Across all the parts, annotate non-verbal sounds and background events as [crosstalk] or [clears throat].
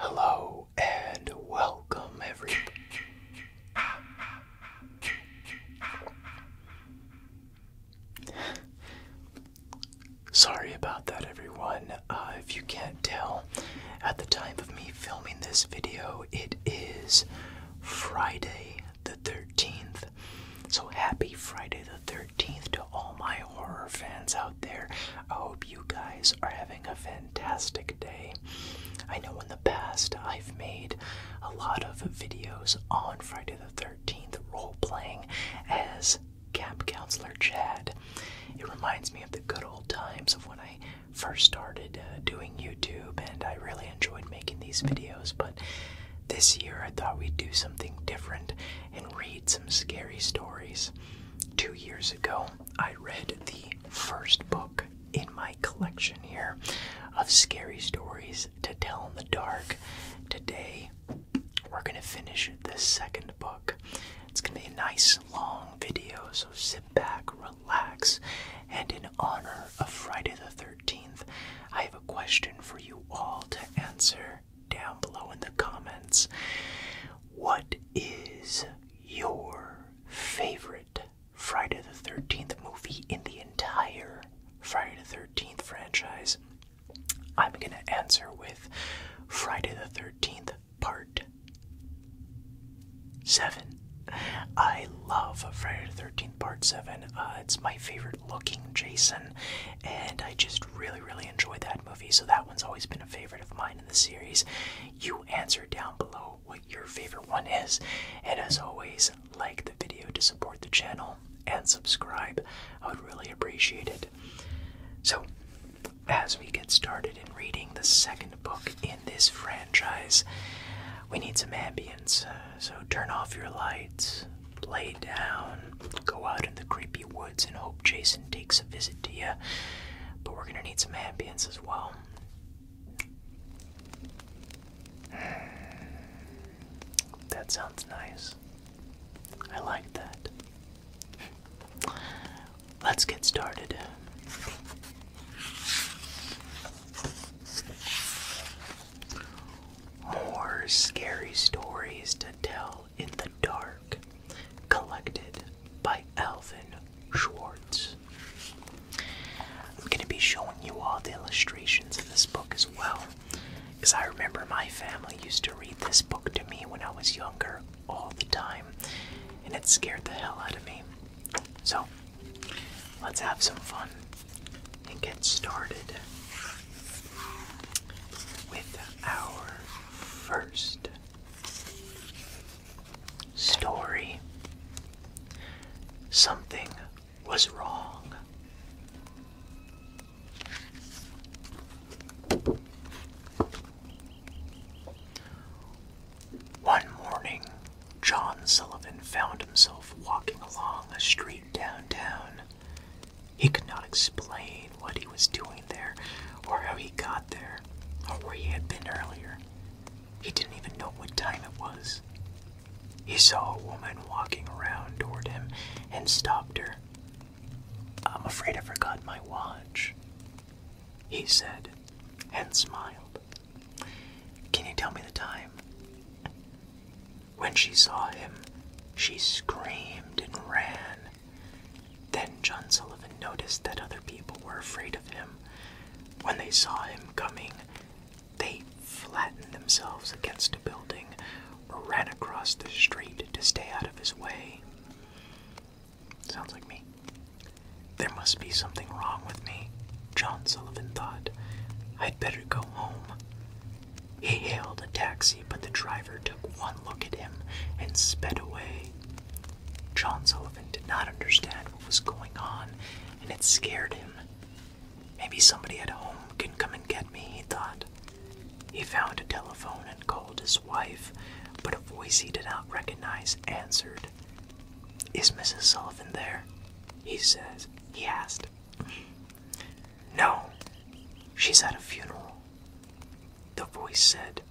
Hello and welcome, everybody. Sorry about that, everyone. Uh, if you can't tell, at the time of me filming this video, it is Friday the 13th. So happy Friday the 13th to all my horror fans out there. I hope you guys are having a fantastic day. I know in the past I've made a lot of videos on Friday the 13th role playing as camp counselor Chad. It reminds me of the good old times of when I first started uh, doing YouTube, and I really enjoyed making these videos. But this year I thought we'd do something different and read some scary stories. Two years ago, I read the first book in my collection here of scary stories to tell in the dark. Today, we're going to finish this second book. It's going to be a nice long video, so sit back, relax, and in honor of Friday the 13th, I have a question for you all to answer down below in the comments. What is your favorite Friday the 13th movie in the entire Friday the 13th franchise? I'm going to answer with Friday the 13th, part 7. I love Friday the 13th, part 7. Uh, it's my favorite looking Jason, and I just really, really enjoyed that movie, so that one's always been a favorite of mine in the series. You answer down below what your favorite one is, and as always, like the video to support the channel and subscribe. I would really appreciate it. So, as we get started in reading the second book in this franchise, we need some ambience. Uh, so turn off your lights, lay down, go out in the creepy woods, and hope Jason takes a visit to you. But we're gonna need some ambience as well. [sighs] That sounds nice. I like that. Let's get started. More scary stories to tell in the dark, collected by Alvin Schwartz. I'm going to be showing you all the illustrations in this book as well, because I remember my family used to read this book to me when I was younger all the time, and it scared the hell out of me. So, let's have some fun and get started with our first story. Something was wrong. One morning, John Sullivan found himself walking along a street downtown. He could not explain what he was doing there, or how he got there, or where he had been earlier. He didn't even know what time it was. He saw a woman walking around toward him and stopped her. I'm afraid I forgot my watch, he said, and smiled. Can you tell me the time? When she saw him, she screamed and ran. Then John Sullivan noticed that other people were afraid of him. When they saw him coming, they flattened themselves against a building or ran across the street to stay out of his way. Sounds like me. There must be something wrong with me, John Sullivan thought. I'd better go home. He hailed a taxi, but the driver took one look at him and sped away. John Sullivan did not understand what was going on, and it scared him. Maybe somebody at home can come and get me, he thought. He found a telephone and called his wife, but a voice he did not recognize answered. Is Mrs. Sullivan there? He says. He asked. No, she's at a funeral. The voice said,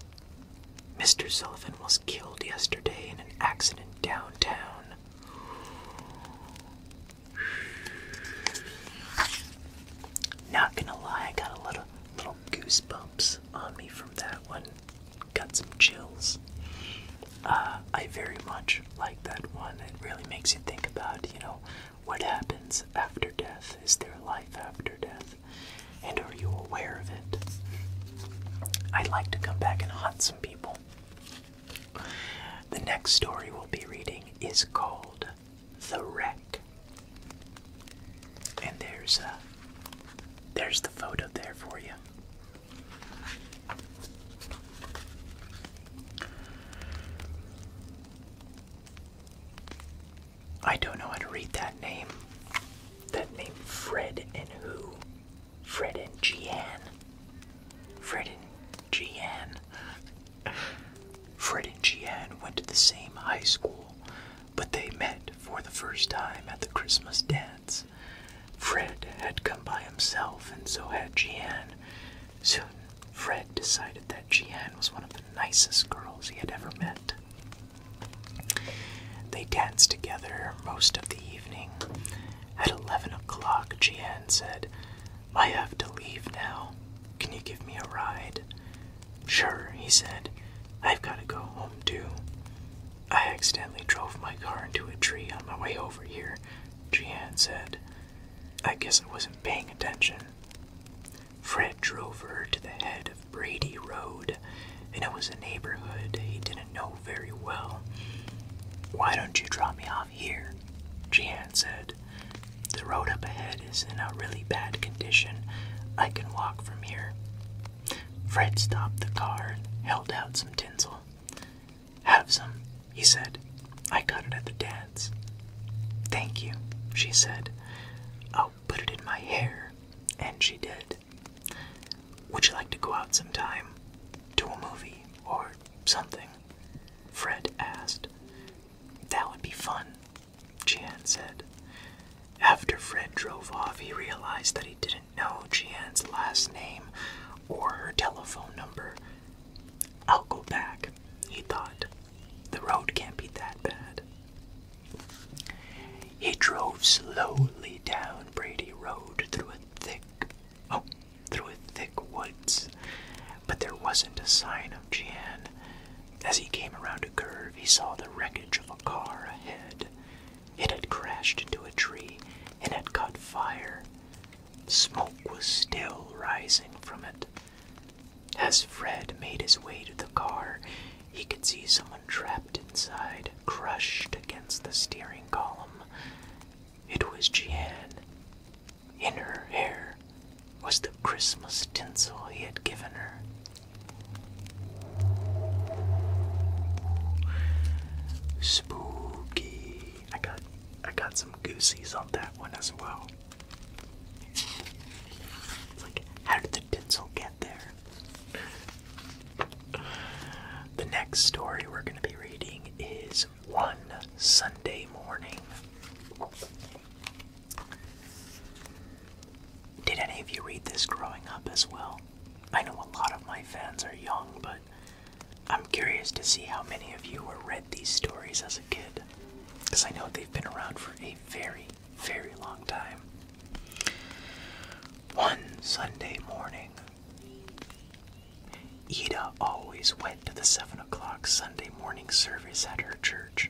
Mr. Sullivan was killed yesterday in an accident downtown. Not gonna lie, I got a little little goosebumps on me from that one. Got some chills. Uh, I very much like that one. It really makes you think about, you know, what happens after death? Is there life after death? And are you aware of it? I'd like to come back and haunt some people. The next story we'll be reading is called the wreck. And there's a uh, there's the photo there for you. I don't know how to read that name. That name Fred and who? Fred and Gian. Fred and Gian. [laughs] Fred and Gian went to the same high school but they met for the first time at the Christmas dance. Fred had come by himself, and so had Jeanne. Soon, Fred decided that Jeanne was one of the nicest girls he had ever met. They danced together most of the evening. At eleven o'clock, Jeanne said, I have to leave now. Can you give me a ride? Sure, he said. I've got to go home too. I accidentally drove my car into a tree on my way over here, Jian said. I guess I wasn't paying attention. Fred drove her to the head of Brady Road, and it was a neighborhood he didn't know very well. Why don't you drop me off here? Jian said. The road up ahead that is in a really bad condition. I can walk from here. Fred stopped the car and held out some tinsel. Have some, he said. I got it at the dance. Thank you, she said. I'll put it in my hair. And she did. Would you like to go out sometime? To a movie or something? Fred asked. That would be fun, Jian said. After Fred drove off, he realized that he didn't know Jian's last name or her telephone number. I'll go back, he thought. The road can't be that bad. He drove slowly down Brady Road through a thick oh through a thick woods. But there wasn't a sign of Jian. As he came around he saw the wreckage of a car ahead. It had crashed into a tree and had caught fire. Smoke was still rising from it. As Fred made his way to the car, he could see someone trapped inside, crushed against the steering column. It was Jeanne. In her hair was the Christmas tinsel he had given her. Spooky. I got I got some goosies on that one as well. like how did the tinsel get there? The next story we're gonna be reading is One Sunday Morning. Did any of you read this growing up as well? I know a lot of my fans are young, but I'm curious to see how many of you were read these stories as a kid. Because I know they've been around for a very, very long time. One Sunday morning, Ida always went to the 7 o'clock Sunday morning service at her church.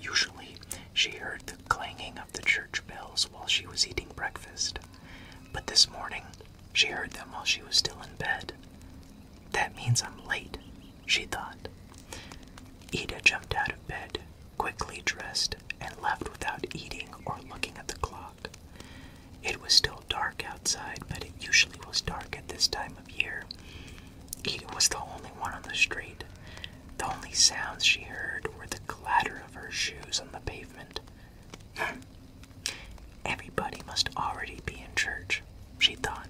Usually, she heard the clanging the church bells while she was eating breakfast, but this morning she heard them while she was still in bed. That means I'm late, she thought. Ida jumped out of bed, quickly dressed, and left without eating or looking at the clock. It was still dark outside, but it usually was dark at this time of year. Ida was the only one on the street, the only sounds she heard were the clatter of her shoes on the pavement. Hmm. Everybody must already be in church, she thought.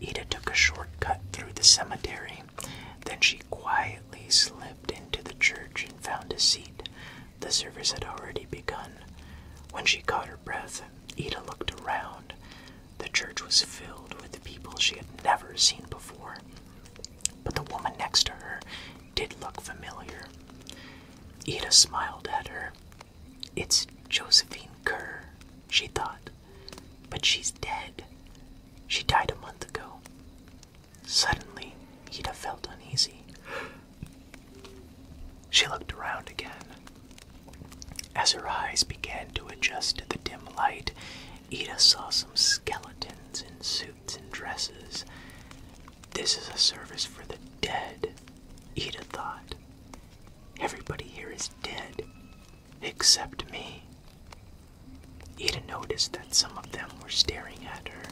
Eda took a short cut through the cemetery. Then she quietly slipped into the church and found a seat. The service had already begun. When she caught her breath, Eda looked around. The church was filled with people she had never seen before, but the woman next to her did look familiar. Ida smiled at her. It's Josephine Kerr, she thought, but she's dead. She died a month ago. Suddenly, Ida felt uneasy. She looked around again. As her eyes began to adjust to the dim light, Ida saw some skeletons in suits and dresses. This is a service for the dead, Ida thought. Everybody here is dead, except me. Ida noticed that some of them were staring at her.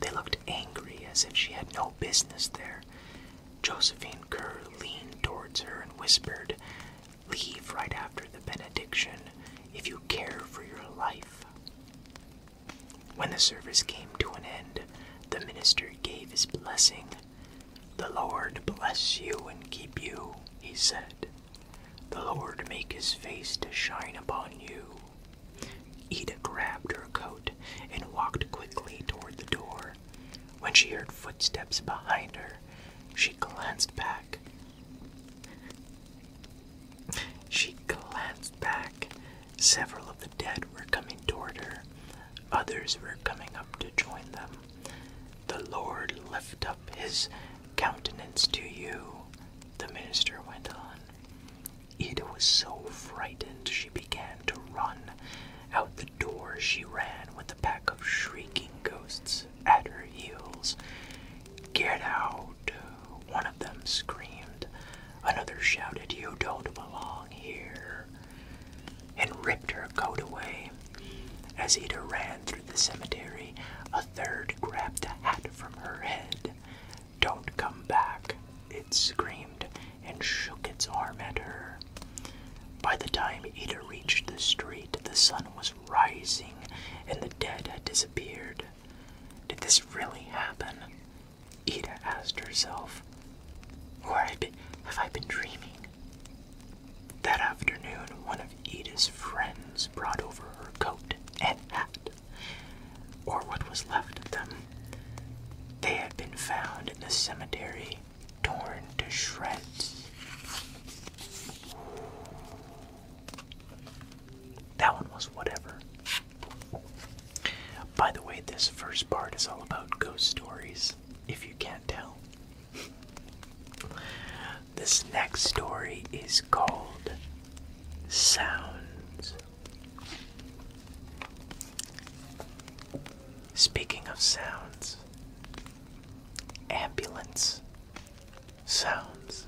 They looked angry as if she had no business there. Josephine Kerr leaned towards her and whispered, Leave right after the benediction if you care for your life. When the service came to an end, the minister gave his blessing. The Lord bless you and keep you, he said. The Lord make his face to shine upon you. Eda grabbed her coat and walked quickly toward the door. When she heard footsteps behind her, she glanced back she glanced back. Several of the dead were coming toward her, others were coming up to join them. The Lord lift up his countenance to you, the minister went on. Ida was so frightened she began to run. Out the door she ran with a pack of shrieking ghosts at her heels. Get out! One of them screamed. Another shouted, You don't belong here! and ripped her coat away. As Ida ran through the cemetery, a third grabbed a hat from her head. Don't come back, it screamed and shook its arm at her. By the time Ida reached the street, the sun was rising and the dead had disappeared. Did this really happen? Ida asked herself. Or have I been dreaming? That afternoon, one of Ida's friends brought over her coat and hat, or what was left of them. They had been found in the cemetery, torn to shreds. That one was whatever. By the way, this first part is all about ghost stories, if you can't tell. this next story is called Sounds. Speaking of sounds, ambulance sounds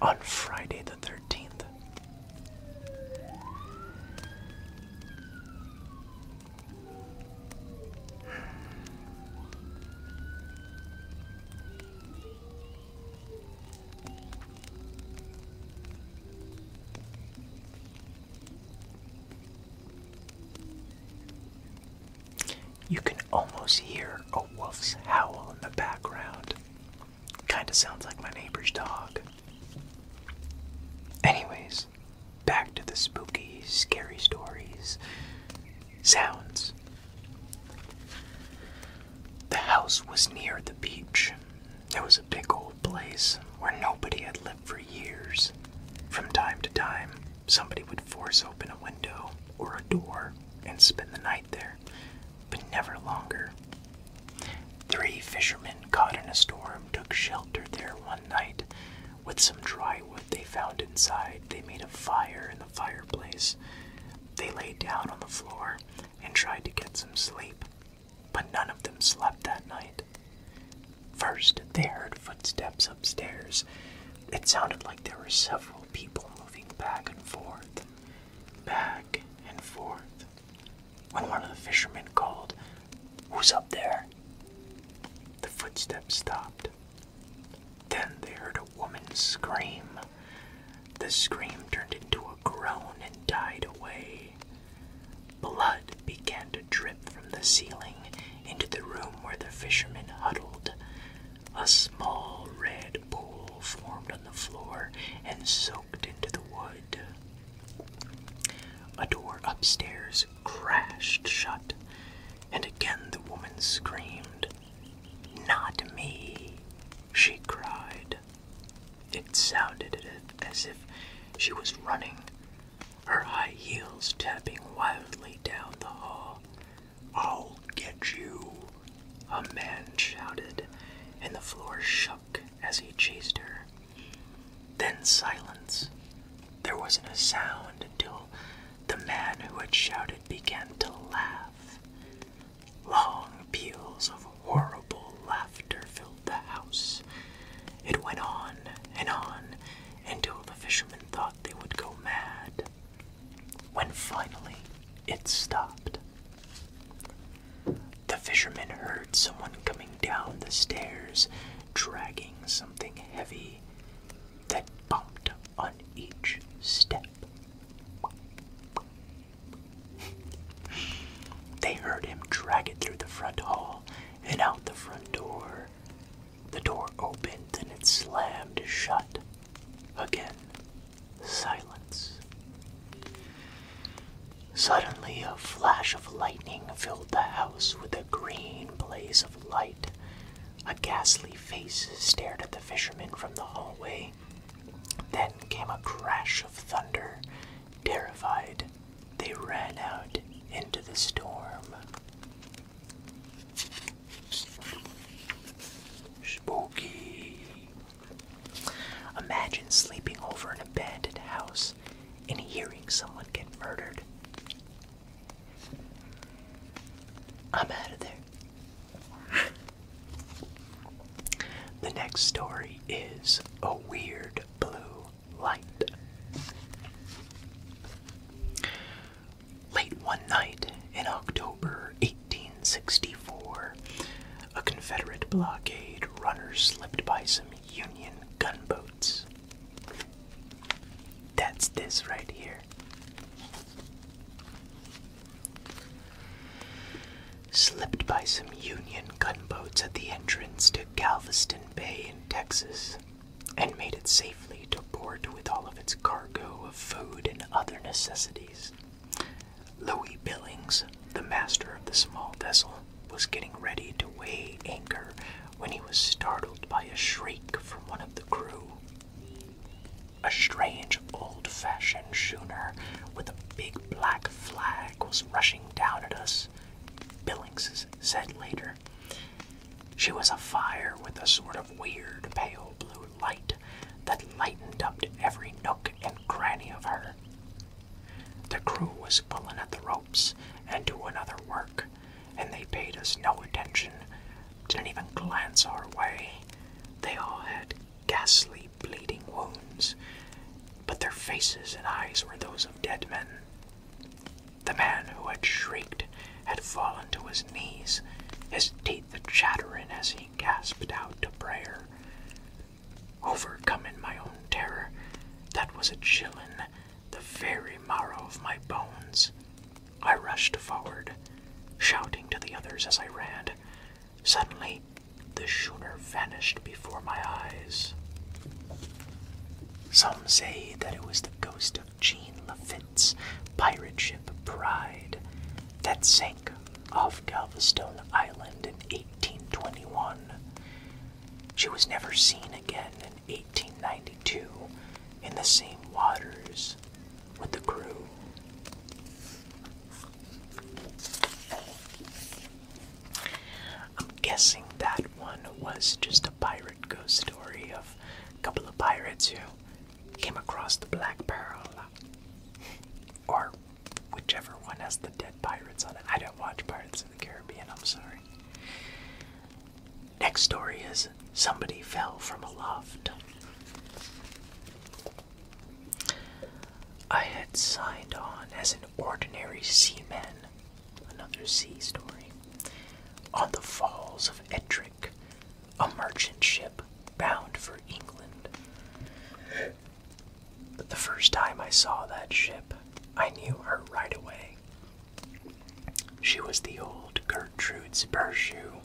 on Friday the 13th. You can almost hear a wolf's howl in the background. Kinda sounds like my neighbor's dog. Anyways, back to the spooky, scary stories. Sounds. The house was near the beach. It was a big old place where nobody had lived for years. From time to time, Somebody would force open a window or a door and spend the night there, but never longer. Three fishermen caught in a storm took shelter there one night. With some dry wood they found inside, they made a fire in the fireplace. They lay down on the floor and tried to get some sleep, but none of them slept that night. First, they heard footsteps upstairs. It sounded like there were several people moving back and forth, back and forth. When one of the fishermen called, Who's up there? The footsteps stopped. Then they heard a woman scream. The scream turned into a groan and died away. Blood began to drip from the ceiling into the room where the fishermen huddled. A small red pool formed on the floor and soaked into the wood. A door upstairs crashed shut, and again the woman screamed. Not me, she cried. It sounded as if she was running, her high heels tapping wildly down the hall I'll get you, a man shouted, and the floor shook as he chased her. Then silence. There wasn't a sound until the man who had shouted began to laugh. Long peals of horrible laughter filled the house. It went on and on until the fishermen thought they would go mad. When finally it stopped, the fisherman heard someone coming down the stairs, dragging something heavy that bumped on each step. they heard him drag it through the front hall and out the front door the door opened and it slammed shut. Again, silence. Suddenly, a flash of lightning filled the house with a green blaze of light. A ghastly face stared at the fishermen from the hallway. Then came a crash of thunder. Terrified, they ran out into the storm. Spooky. Imagine sleeping over an abandoned house and hearing someone get murdered. I'm out of there. the next story is A Weird Blue Light. Late one night in October 1864, a Confederate blockade runner slipped by some Union gunboats. That's this right here. Slipped by some Union gunboats at the entrance to Galveston Bay in Texas and made it safe safely to port with all of its cargo of food and other necessities. Louis Billings, the master of the small vessel, was getting ready to weigh anchor when he was startled by a shriek from one of the crew. A strange old fashioned schooner with a big black flag was rushing down at us, Billings said later. She was afire with a sort of weird pale blue light that lightened up every nook and cranny of her. The crew was pulling at the ropes and doing other work, and they paid us no attention, didn't even glance our way. They all had ghastly bleeding wounds, but their faces and eyes were those of dead men. The man who had shrieked had fallen to his knees, his teeth chattering as he gasped out a prayer. Overcome in my own terror, that was a chillin' the very marrow of my bones. I rushed forward, shouting to the others as I ran. Suddenly, the schooner vanished before my eyes. Some say that it was the ghost of Jean Lafitte's pirate ship Pride that sank off Galveston Island in 1821. She was never seen again in 1892 in the same waters with the crew. I'm guessing that one was just a pirate ghost story of a couple of pirates who came across the Black Pearl. Uh, or whichever one has the dead pirates on it. I don't watch Pirates of the Caribbean, I'm sorry. Next story is somebody fell from aloft. I had signed on as an ordinary seaman, another sea story, on the falls of Etrin a merchant ship bound for England. But the first time I saw that ship, I knew her right away. She was the old Gertrude Spurshue.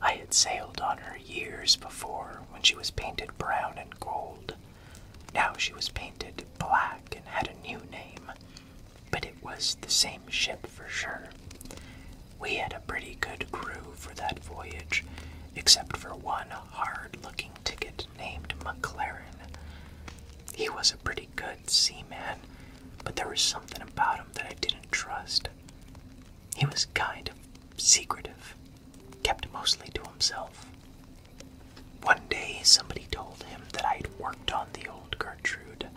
I had sailed on her years before when she was painted brown and gold. Now she was painted black and had a new name, but it was the same ship for sure. We had a pretty good crew for that voyage, except for one hard looking ticket named McLaren. He was a pretty good seaman, but there was something about him that I didn't trust. He was kind of secretive, kept mostly to himself. One day, somebody told him that I'd worked on the old Gertrude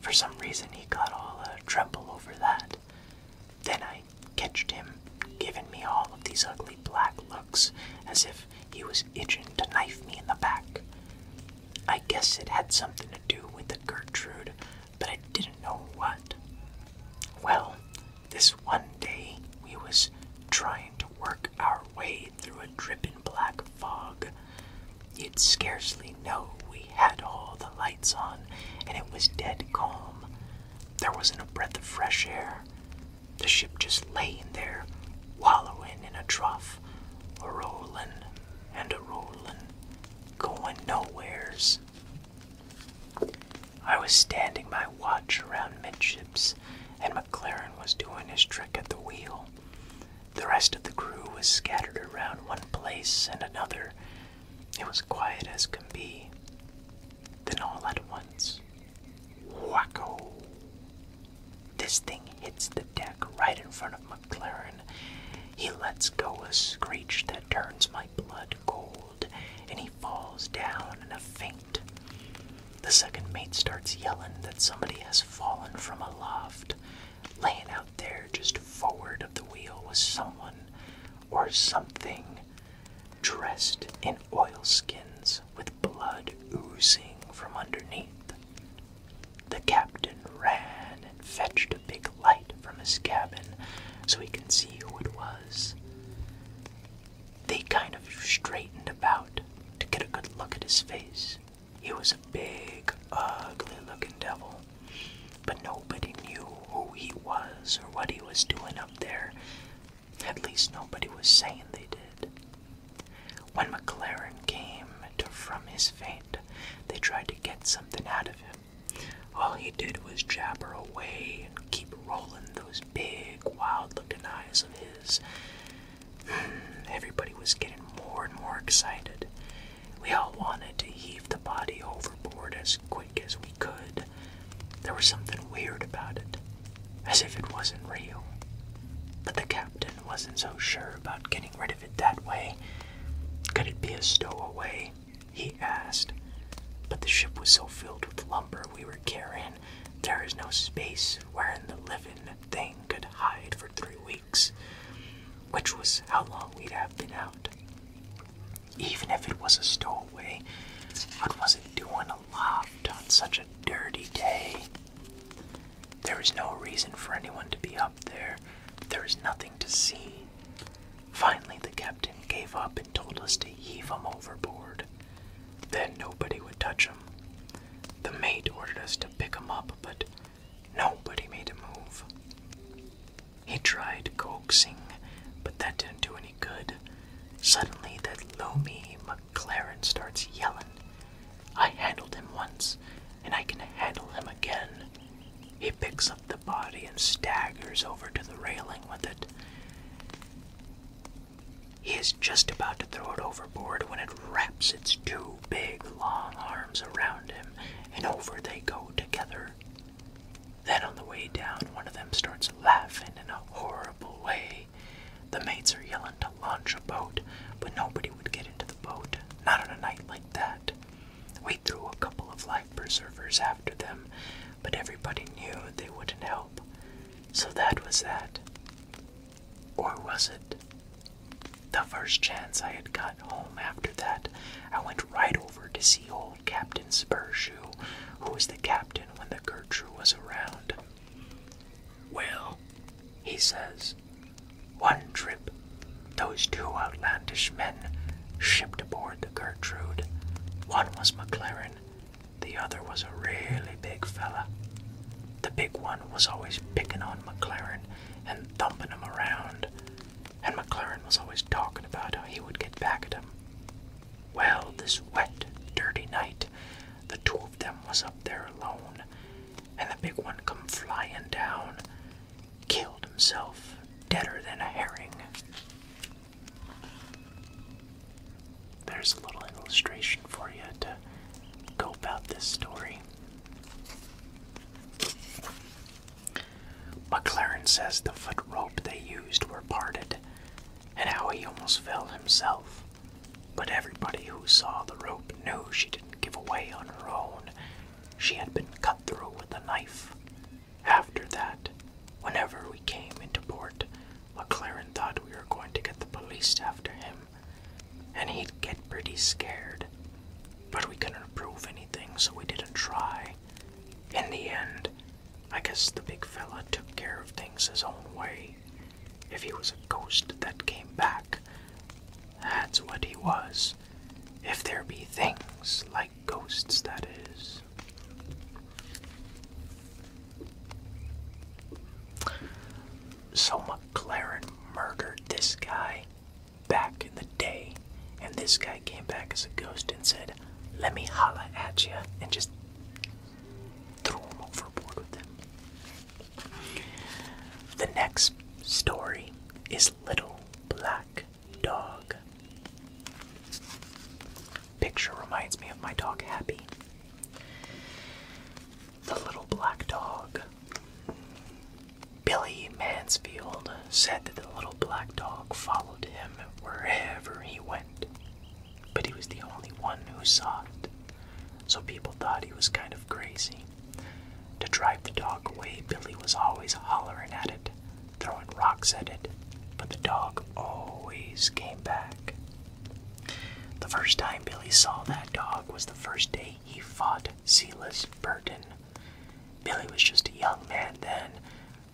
for some reason he got all a uh, tremble over that. Then I catched him, giving me all of these ugly black looks, as if he was itching to knife me in the back. I guess it had something to do with the Gertrude, but I didn't know what. Well, this one day we was trying to work our way through a dripping black fog. You'd scarcely know we had all the lights on, and it was dead calm. There wasn't a breath of fresh air. The ship just lay there, wallowing in a trough, a rolling and a rolling, going nowheres. I was standing my watch around midships, and McLaren was doing his trick at the wheel. The rest of the crew was scattered around one place and another, it was quiet as can be. Then all at once, whacko! This thing hits the deck right in front of McLaren. He lets go a screech that turns my blood cold, and he falls down in a faint. The second mate starts yelling that somebody has fallen from aloft laying out there just forward of the wheel was someone or something dressed in oilskins with blood oozing from underneath. The captain ran and fetched a big light from his cabin so he could see who it was. They kind of straightened about to get a good look at his face. He was a big, ugly looking devil. But nobody knew who he was or what he was doing up there. At least nobody was saying they did. When McLaren came to from his faint, they tried to get something out of him. All he did was jabber away and keep rolling those big, wild looking eyes of his. Hmm, everybody was getting more and more excited. We all wanted to heave the body overboard as quick as we could. There was something weird about it, as if it wasn't real. But the captain wasn't so sure about getting rid of it that way. Could it be a stowaway? He asked. But the ship was so filled with lumber we were carrying, there is no space wherein the living thing could hide for three weeks which was how long we'd have been out. Even if it was a stowaway, what was it doing aloft on such a dirty day? There was no reason for anyone to be up there. There was nothing to see. Finally, the captain gave up and told us to heave 'em overboard. Then nobody would touch 'em. The mate ordered us to pick 'em up, but Nobody made a move. He tried coaxing, but that didn't do any good. Suddenly, that loamy McLaren starts yelling. I handled him once, and I can handle him again. He picks up the body and staggers over to the railing with it. He is just about to throw it overboard when it wraps its two big long arms around him, and over they go together. Then on the way down, one of them starts laughing in a horrible way. The mates are yelling to launch a boat, but nobody would get into the boat, not on a night like that. We threw a couple of life preservers after them, but everybody knew they wouldn't help. So that was that. Or was it? The first chance I had got home after that, I went right over to see. Old Captain Spurshoe, who was the captain when the Gertrude was around. Well, he says, one trip, those two outlandish men shipped aboard the Gertrude. One was McLaren, the other was a really big fella. The big one was always picking on McLaren and thumping him around and McLaren was always talking about how he would get back at him. Well, this wet, dirty night, the two of them was up there alone, and the big one come flying down, killed himself, deader than a herring. There's a little illustration for you to go about this story. McLaren says the foot rope they used were parted and how he almost fell himself. But everybody who saw the rope knew she didn't give away on her own. She had been cut through with a knife. After that, whenever we came into port, McLaren thought we were going to get the police after him, and he'd get pretty scared. But we couldn't prove anything, so we didn't try. In the end, I guess the big fella took care of things his own way. If he was a ghost that came back, that's what he was. If there be things like ghosts, that is. So McLaren murdered this guy back in the day, and this guy came back as a ghost and said, Let me holla at you, and just threw him overboard with him. The next story is Little Black Dog. Picture reminds me of my dog Happy. The little black dog Billy Mansfield said that the little black dog followed him wherever he went, but he was the only one who saw it, so people thought he was kind of crazy. To drive the dog away, Billy was always hollering at it, throwing rocks at it, but the dog always came back. The first time Billy saw that dog was the first day he fought Silas Burton Billy was just a young man then,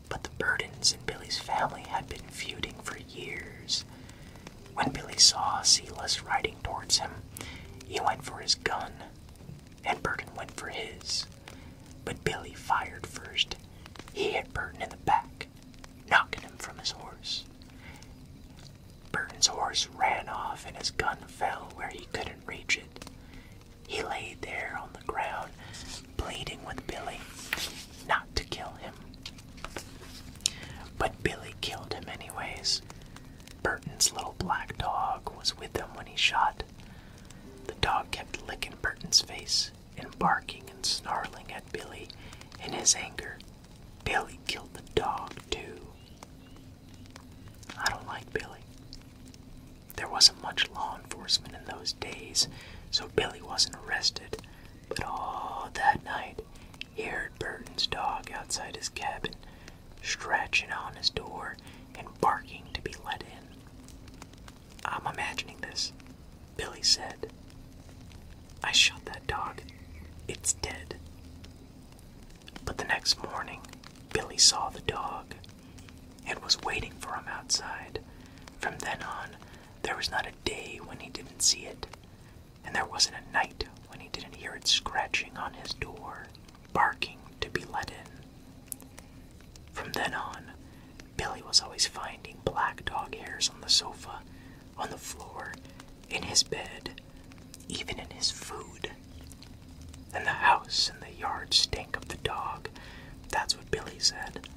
but the Burdens and Billy's family had been feuding for years. When Billy saw Silas riding towards him, he went for his gun, and Burton went for his. But Billy fired first. He hit Burton in the back, knocking him from his horse. Burton's horse ran off and his gun fell where he couldn't reach it. He lay there on the ground, pleading with Billy not to kill him. But Billy killed him anyways. Burton's little black dog was with him when he shot. The dog kept licking Burton's face and barking and snarling at Billy in his anger. Billy killed the dog too. I don't like Billy. There wasn't much law enforcement in those days, so Billy wasn't arrested. But all that night, he heard Burton's dog outside his cabin, scratching on his door and barking to be let in. I'm imagining this, Billy said. I shot that dog. It's dead. But the next morning, Billy saw the dog and was waiting for him outside. From then on, there was not a day when he didn't see it, and there wasn't a night when he didn't hear it scratching on his door, barking to be let in. From then on, Billy was always finding black dog hairs on the sofa, on the floor, in his bed, even in his food. And the house and the yard stink of the dog. That's what Billy said.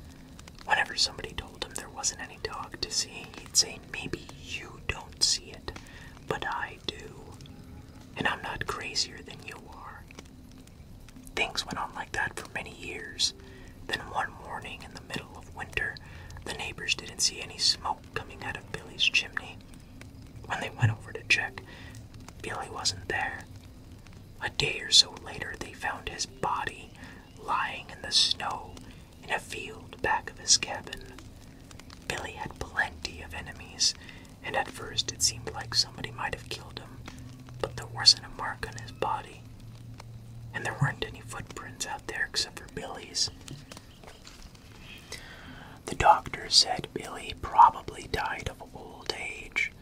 Whenever somebody told him there wasn't any dog to see, he'd say, Maybe you don't see it, but I do. And I'm not crazier than you are. Things went on like that for many years. Then one morning in the middle of winter, the neighbors didn't see any smoke coming out of Billy's chimney. When they went over to check, Billy wasn't there. A day or so later, they found his body lying in the snow in a field back of his cabin. Billy had plenty of enemies, and at first it seemed like somebody might have killed him, but there wasn't a mark on his body. And there weren't any footprints out there except for Billy's. The doctor said Billy probably died of old age,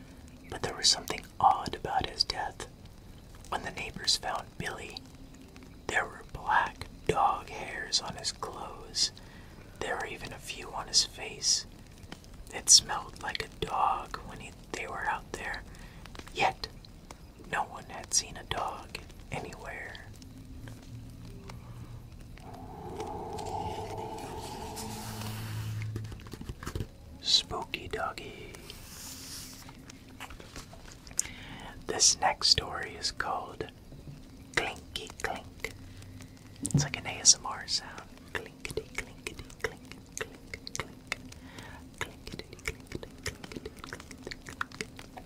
but there was something odd about his death. When the neighbors found Billy, there were black dog hairs on his clothes. There were even a few on his face. It smelled like a dog when they were out there, yet no one had seen a dog anywhere. Spooky doggy. This next story is called Clinky Clink. It's like an ASMR sound. Clinkety, clinkety, clink, clink, clink. Clinkety, clinkety, clinkety, clinkety, clinkety.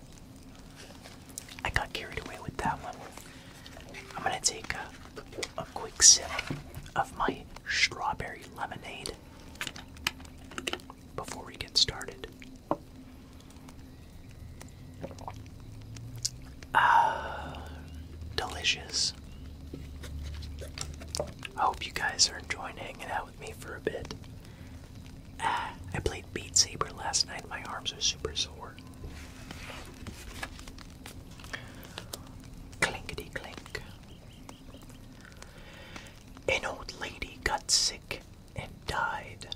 I got carried away with that one. I'm gonna take a, quick sip of my strawberry lemonade before we get started. Uh, delicious. I hope you guys are enjoying hanging out with me for a bit. Uh, I played Beat Saber last night. My arms are super sore. Clinkety clink. An old lady got sick and died.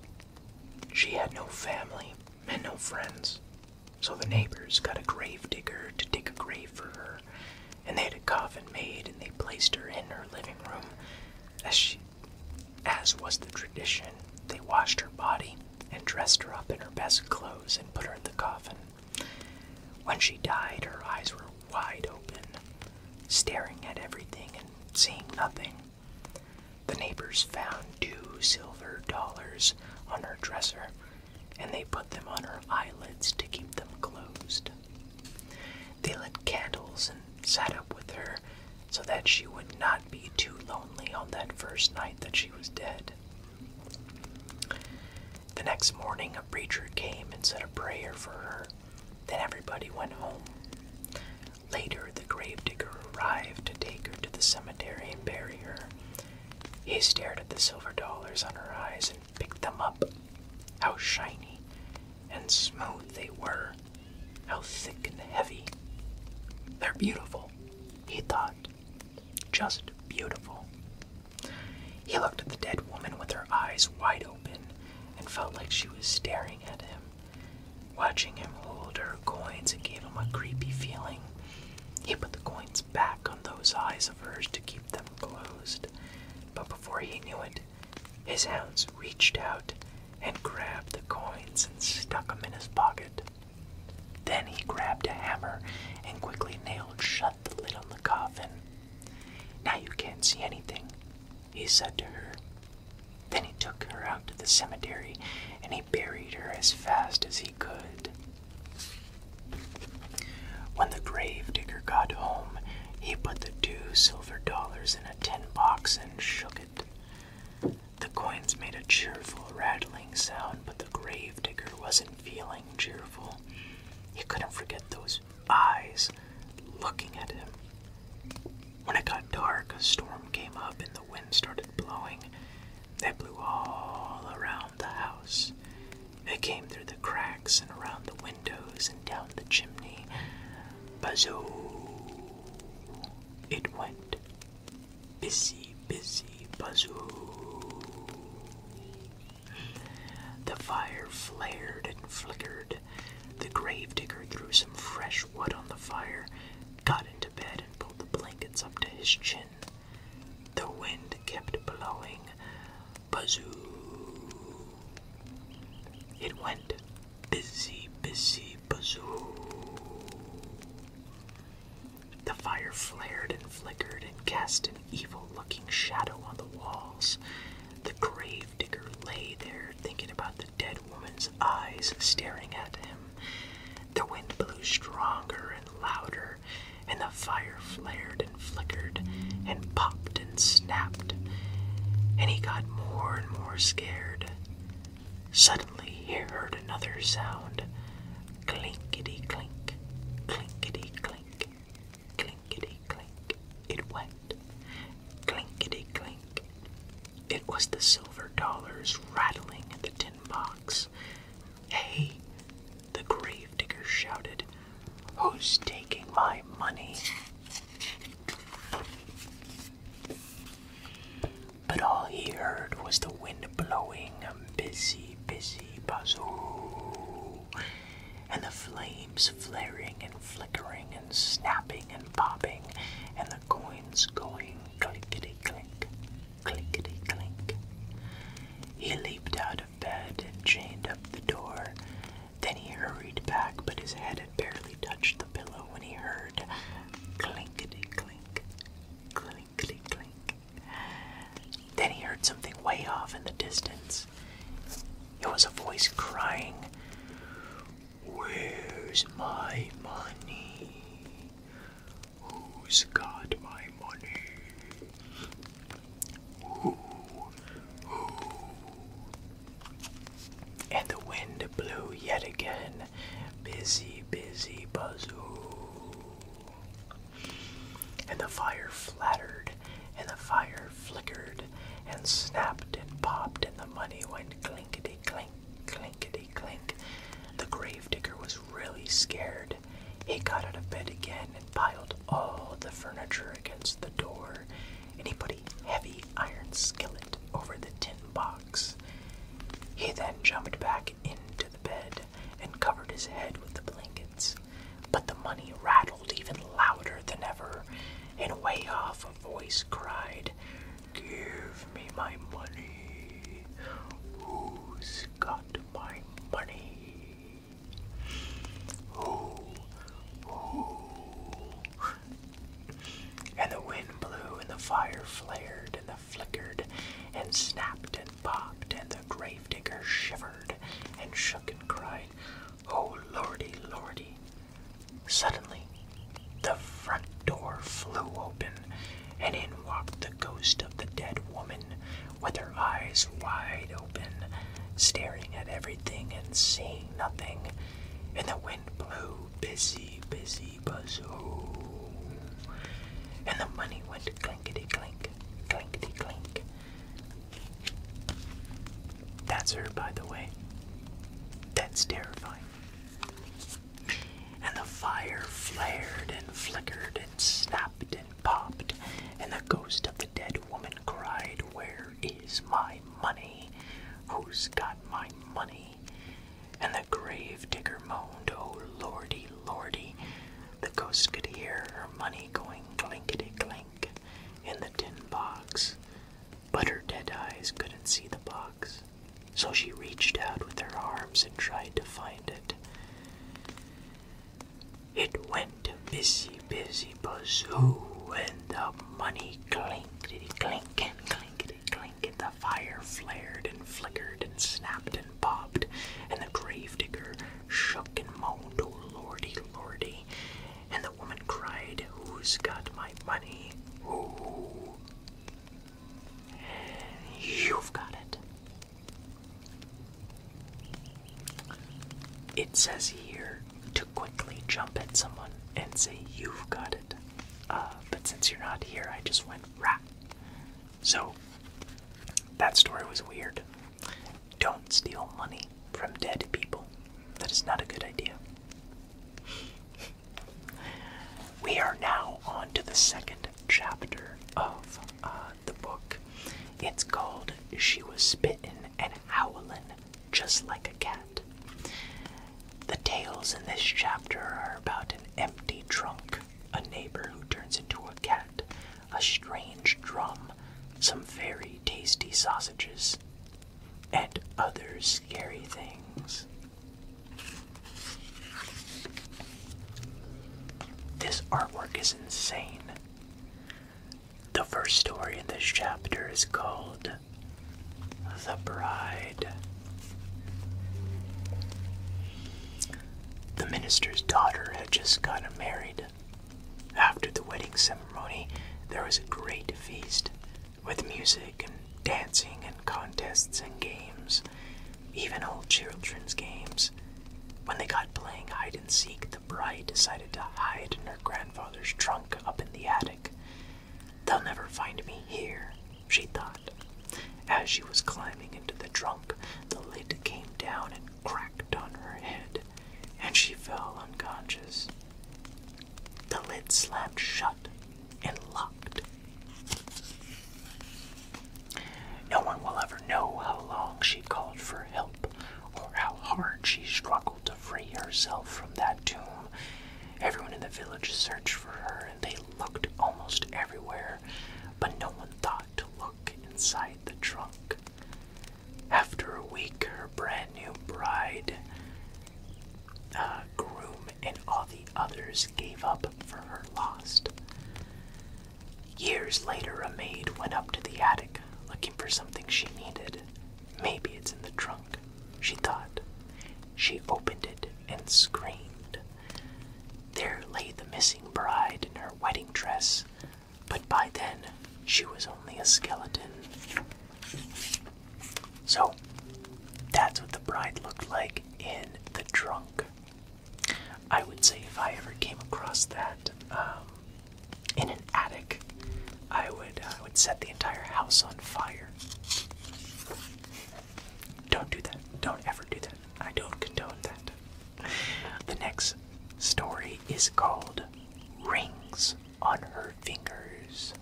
She had no family and no friends, so the neighbors got a grave digger to dig a grave for her, and they had a coffin made and they placed her in her living room. As she, as was the tradition, they washed her body and dressed her up in her best clothes and put her in the coffin. When she died, her eyes were wide open, staring at everything and seeing nothing. The neighbors found two silver dollars on her dresser, and they put them on her eyelids to keep them closed. They lit candles and sat up with her so that she would not be too lonely on that first night that she was dead. The next morning, a preacher came and said a prayer for her. Then everybody went home. Later, the gravedigger arrived to take her to the cemetery and bury her. He stared at the silver dollars on her eyes and picked them up. How shiny and smooth they were! How thick and heavy! They're beautiful, he thought. Just beautiful. He looked at the dead woman with her eyes wide open and felt like she was staring at him. Watching him hold her coins, it gave him a creepy feeling. He put the coins back on those eyes of hers to keep them closed, but before he knew it, his hands reached out and grabbed the coins and stuck them in his pocket. Then he grabbed a hammer and quickly nailed shut the lid on the coffin. Now you can't see anything, he said to her. Then he took her out to the cemetery and he buried her as fast as he could. When the grave digger got home, he put the two silver dollars in a tin box and shook it. The coins made a cheerful rattling sound, but the grave digger wasn't feeling cheerful. He couldn't forget those eyes looking at him. When it got dark, a storm came up and the wind started blowing. It blew all around the house. It came through the cracks and around the windows and down the chimney. Bazoo! It went. Busy, busy, bazoo. The fire flared and flickered. The grave digger threw some fresh wood on the fire, got into bed, and pulled the blankets up to his chin. The wind kept blowing. Bazoo! It went busy, busy, bazoo. The fire flared and flickered and cast an evil looking shadow on the walls. The grave digger lay there thinking about the dead woman's eyes staring at him. The wind blew stronger and louder, and the fire flared and flickered and popped and snapped. And he got more and more scared. Suddenly he heard another sound clinkety clink, clinkety clink clink, clinkety clink, it went, clinkety clink. It was the silver dollars rattling in the tin box. Hey, the grave gravedigger shouted, Who's taking my money? But all he heard was the wind blowing a busy, busy puzzle. And the flames flaring and flickering and snapping and popping, and the coins going clickety clink, clickety clink. He leaped out of bed and chained up the door. Then he hurried back, but his head had barely touched the pillow when he heard clinkety clink, clink. Then he heard something way off in the distance. It was a voice crying, Where's my money? Who's got my money? And the wind blew yet again. Busy, busy, buzzoo. And the fire flattered, and the fire flickered, and snapped and popped, and the money went clinkety clink, clinkety clink. The grave digger was really scared. He got out of bed again and piled all the furniture against the door, and he put a heavy iron skillet over the tin box. He then jumped back into the bed and covered his head with the blankets but the money rattled even louder than ever, and way off a voice cried, Give me my money. Who's got my money? Who? Who? And the wind blew, and the fire flared, and flickered, and snapped, and and popped, and the gravedigger shivered and shook and cried, Oh lordy, lordy! Suddenly, the front door flew open, and in walked the ghost of the dead woman, with her eyes wide open, staring at everything and seeing nothing. And the wind blew, busy, busy, buzzoo. And the money went clinkety clink, clinkety clink, that's her, by the way. That's terrifying. And the fire flared and flickered and snapped and popped, and the ghost of the dead woman cried, Where is my money? Who's got my money? And the grave digger moaned, Oh lordy, lordy, the ghost could hear her money going clinkety clink in the tin box, but her dead eyes couldn't see the box, so she reached out with her arms and tried to find it. It went busy, busy, bazoo, and the money clinkety clink and clinkety clink, and the fire flared and flickered and snapped popped and popped, and the gravedigger shook and moaned, Oh lordy, lordy. And the woman cried, Who's got my money? You've got it. It says here to quickly jump at someone and say, You've got it. Uh, but since you're not here, I just went rat. So, that story was weird. Don't steal money from dead people. That is not a good idea. We are now on to the second chapter of uh, the book. It's called She Was Spitting and Howling Just Like a Cat. The tales in this chapter are about an empty trunk, a neighbor who turns into a cat, a strange drum, some very tasty sausages, and other scary things. This artwork is insane. The first story in this chapter is called The Bride. The minister's daughter had just gotten married, after the wedding ceremony, there was a great feast with music and dancing and contests and games, even old children's games. When they got playing hide and seek, the bride decided to hide in her grandfather's trunk up in the attic. They'll never find me here, she thought. As she was climbing into the trunk, the lid came down and cracked on her head and she fell unconscious. The lid slammed shut and locked. No one will ever know how long she called for help or how hard she struggled to free herself from that tomb. Everyone in the village searched for her and they looked almost everywhere, but no one thought to look inside the trunk. After a week, her brand new bride, uh, groom, and all the others gave up for her lost. Years later, a maid went up to the attic looking for something she needed. Maybe it's in the trunk, she thought. She opened it and screamed. There lay the missing bride in her wedding dress, but by then she was only a skeleton. So that's what the bride looked like in the trunk. I would say if I ever came across that um, in an attic, I would I uh, would set the entire house on fire. Don't do that. Don't ever do that. I don't condone that. The next story is called Rings on Her Fingers.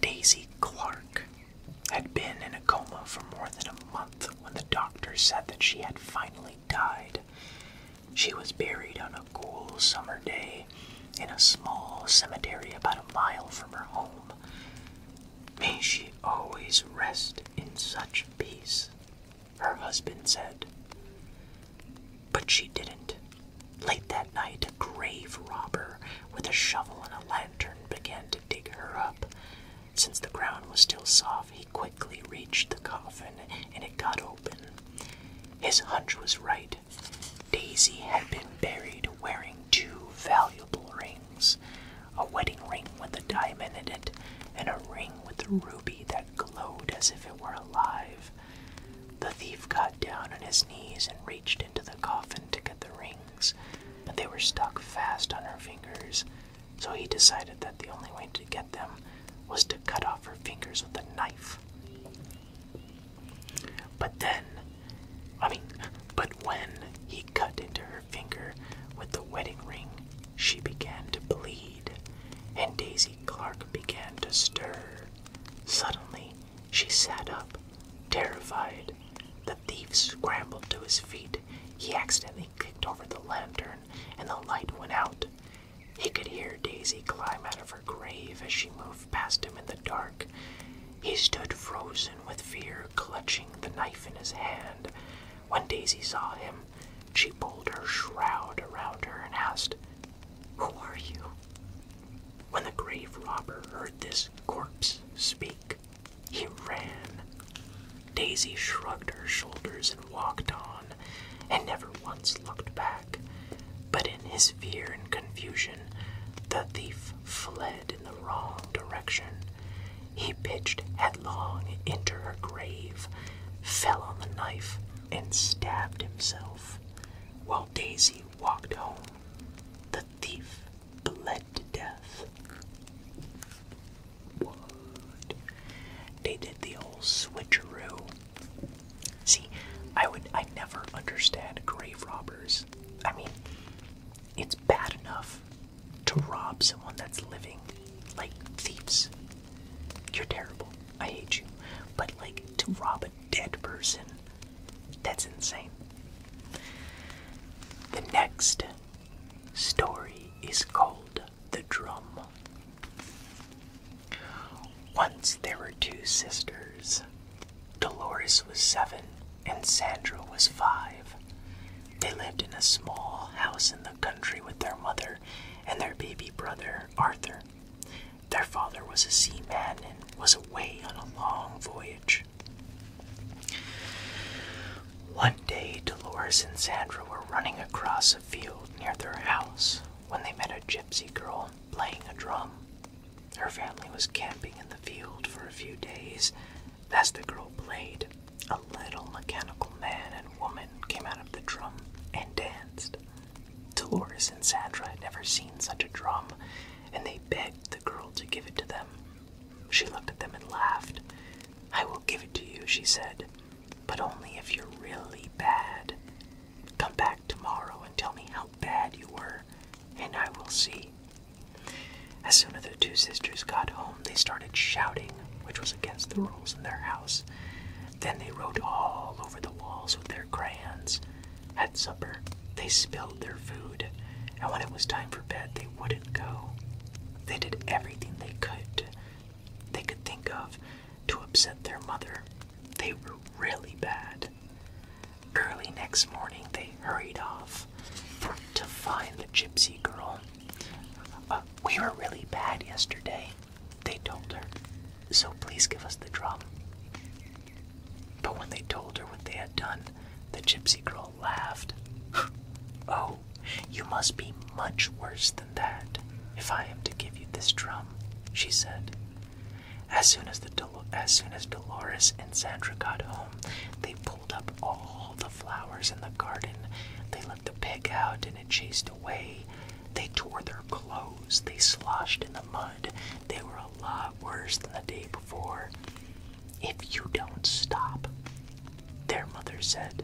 Daisy Clark had been in a coma for more than a month when the doctor said that she had finally died. She was buried on a cool summer day in a small cemetery about a mile from her home. May she always rest in such peace, her husband said. But she didn't. Late that night, a grave robber with a shovel and a lantern began to dig her up. Since the ground was still soft, he quickly reached the coffin and it got open. His hunch was right. Daisy had been buried wearing two valuable rings a wedding ring with a diamond in it, and a ring with a ruby that glowed as if it were alive. The thief got down on his knees and reached into the coffin to get the rings, but they were stuck fast on her fingers, so he decided that the only way to get them was to cut off her fingers with a knife. But then, I mean, but when he cut into her finger with the wedding ring, she began to bleed, and Daisy Clark began to stir. Suddenly, she sat up, terrified. The thief scrambled to his feet. He accidentally kicked over the lantern, and the light went out. He could hear Daisy climb out of her grave as she moved past him in the dark. He stood frozen with fear, clutching the knife in his hand. When Daisy saw him, she pulled her shroud around her and asked, Who are you? When the grave robber heard this corpse speak, he ran. Daisy shrugged her shoulders and walked on, and never once looked back. But in his fear and confusion, the thief fled in the wrong direction. He pitched headlong into her grave, fell on the knife, and stabbed himself. While Daisy walked home, the thief bled to death. What? They did the old switcheroo. See, I would I never understand grave robbers. I mean, it's bad enough to rob someone that's living like thieves. You're terrible. I hate you. But, like, to rob a dead person, that's insane. The next story is called The Drum. Once there were two sisters. Dolores was seven and Sandra was five. They lived in a small house in the country with their mother and their baby brother, Arthur. Their father was a seaman and was away on a long voyage. One day, Dolores and Sandra were running across a field near their house when they met a gypsy girl playing a drum. Her family was camping in the field for a few days as the girl played, a little mechanical man and woman came out of the drum and danced. Dolores and Sandra had never seen such a drum, and they begged the girl to give it to them. She looked at them and laughed. I will give it to you, she said, but only if you're really bad. Come back tomorrow and tell me how bad you were, and I will see. As soon the two sisters got home, they started shouting, which was against the rules in their house. Then they wrote all over the walls with their crayons. At supper, they spilled their food, and when it was time for bed, they wouldn't go. They did everything they could they could think of to upset their mother. They were really bad. Early next morning, they hurried off to find the gypsy girl. Uh, we were really bad yesterday, they told her, so please give us the drum. But when they told her what they had done, the gypsy girl laughed. oh, you must be much worse than that if I am to give you this drum, she said. As soon as, the as soon as Dolores and Sandra got home, they pulled up all the flowers in the garden. They the pig out and it chased away. They tore their clothes, they sloshed in the mud. They were a lot worse than the day before. If you don't stop, their mother said,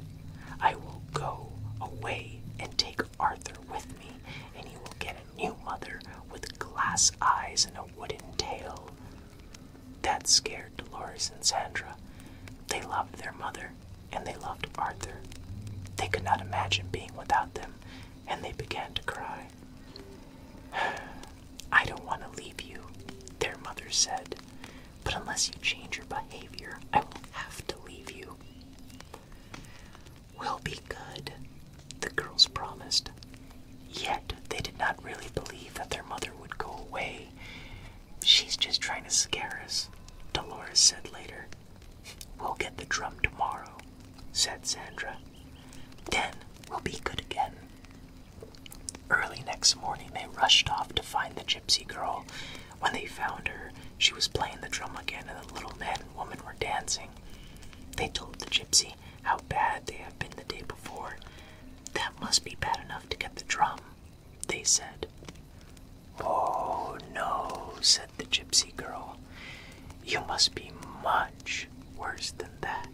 I will go away and take Arthur with me, and he will get a new mother with glass eyes and a wooden tail. That scared Dolores and Sandra. They loved their mother, and they loved Arthur. They could not imagine being without them, and they began to cry. [sighs] I don't want to leave you, their mother said, but unless you change your behavior, I will have to leave you. We'll be good, the girls promised. Yet they did not really believe that their mother would go away She's just trying to scare us, Dolores said later. We'll get the drum tomorrow, said Sandra. Then we'll be good again. Early next morning, they rushed off to find the gypsy girl. When they found her, she was playing the drum again, and the little man and woman were dancing. They told the gypsy how bad they had been the day before. That must be bad enough to get the drum, they said. Oh no, said the gypsy girl. You must be much worse than that.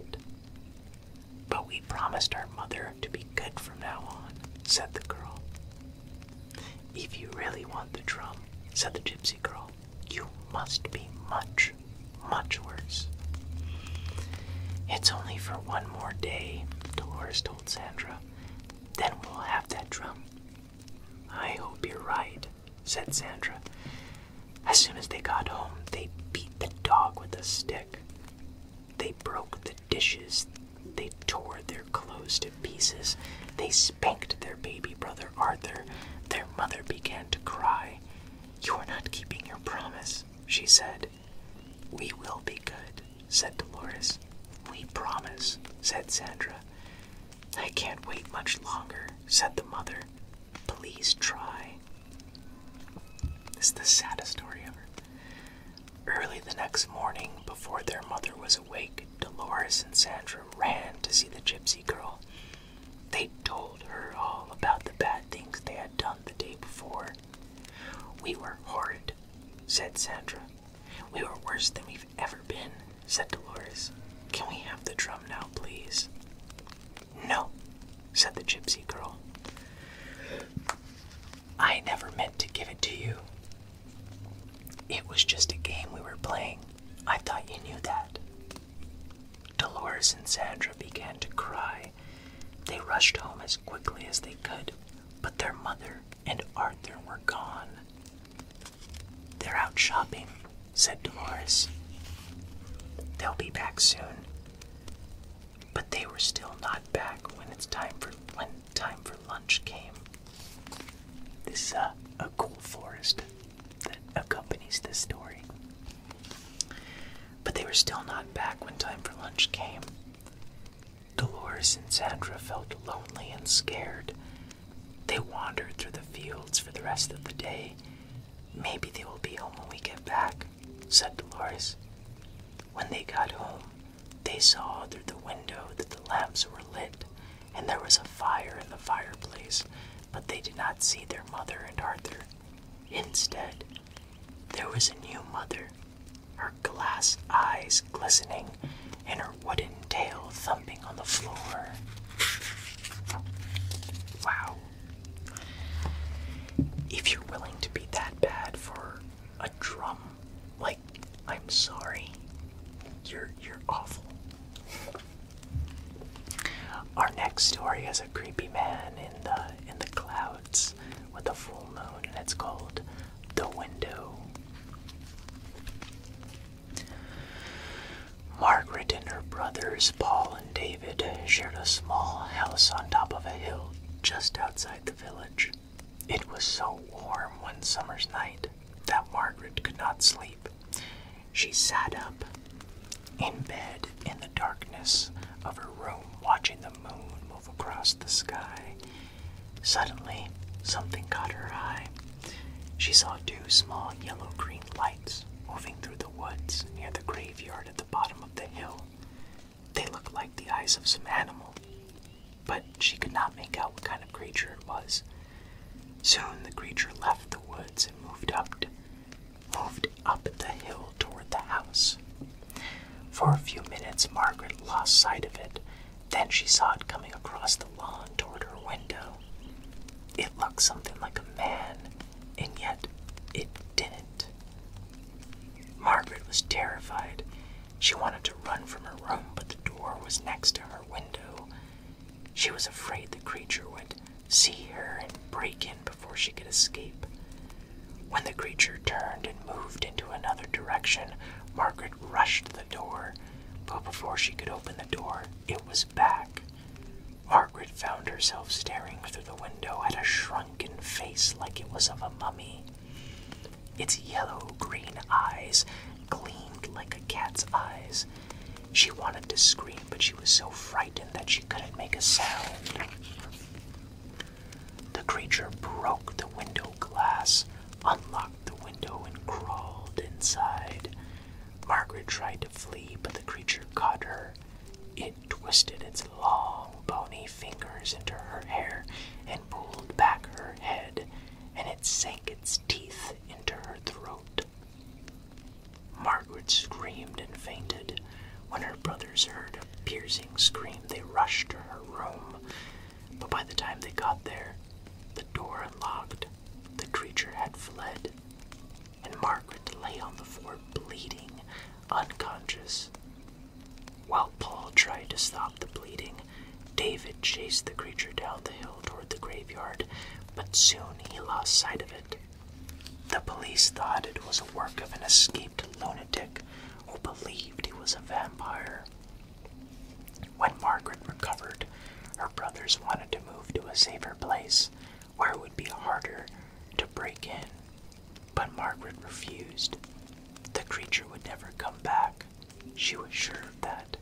But we promised our mother to be good from now on, said the girl. If you really want the drum, said the gypsy girl, you must be much, much worse. It's only for one more day, Dolores told Sandra. Then we'll have that drum. I hope you're right, said Sandra. As soon as they got home, they beat the dog with a stick. They broke the dishes. They tore their clothes to pieces. They spanked their baby brother Arthur. Their mother began to cry. You're not keeping your promise, she said. We will be good, said Dolores. We promise, said Sandra. I can't wait much longer, said the mother. Please try. This is the saddest story ever. Early the next morning, before their mother was awake, Dolores and Sandra ran to see the gypsy girl. They told her all about the bad things they had done the day before we were horrid, said Sandra. We were worse than we've ever been, said Dolores. Can we have the drum now, please? No, said the gypsy girl. I never meant to give it to you. It was just a game we were playing. I thought you knew that. Dolores and Sandra began to cry. They rushed home as quickly as they could, but their mother, and Arthur were gone. They're out shopping, said Dolores. They'll be back soon. But they were still not back when it's time for when time for lunch came. This is uh, a, a cool forest that accompanies this story. But they were still not back when time for lunch came. Dolores and Sandra felt lonely and scared. They wandered through the fields for the rest of the day. Maybe they will be home when we get back, said Dolores. When they got home, they saw through the window that the lamps were lit and there was a fire in the fireplace, but they did not see their mother and Arthur. Instead, there was a new mother her glass eyes glistening and her wooden tail thumping on the floor. Wow. If you're willing to be that bad for a drum, like I'm sorry. You're you're awful. Our next story is a creepy man in the in the clouds with a full moon, and it's called The Window. Margaret and her brothers, Paul and David, shared a small house on top of a hill just outside the village. It was so warm one summer's night that Margaret could not sleep. She sat up in bed in the darkness of her room, watching the moon across the sky. Suddenly, something caught her eye. She saw two small yellow green lights moving through the woods near the graveyard at the bottom of the hill. They looked like the eyes of some animal, but she could not make out what kind of creature it was. Soon the creature left the woods and moved up, moved up the hill toward the house. For a few minutes, Margaret lost sight of it then she saw it coming across the lawn toward her window. It looked something like a man, and yet it didn't. Margaret was terrified. She wanted to run from her room, but the door was next to her window. She was afraid the creature would see her and break in before she could escape. When the creature turned and moved into another direction, Margaret Margaret rushed the door, but before she could open the door, it was back. Margaret found herself staring through the window at a shrunken face like it was of a mummy. Its yellow green eyes gleamed like a cat's eyes. She wanted to scream, but she was so frightened that she couldn't make a sound. The creature broke the window glass, unlocked the window, and crawled inside. Margaret tried to flee, but the creature caught her. It twisted its long, bony fingers into her hair and pulled back her head, and it sank its teeth into her throat. Margaret screamed and fainted. When her brothers heard a piercing scream, they rushed to her room but by the time they got there, the door unlocked, the creature had fled, and Margaret lay on the floor bleeding, unconscious. While Paul tried to stop the bleeding, David chased the creature down the hill toward the graveyard, but soon he lost sight of it. The police thought it was the work of an escaped lunatic who believed he was a vampire. When Margaret recovered, her brothers wanted to move to a safer place where it would be harder to break in, but Margaret refused. The creature would never come back. She was sure of that.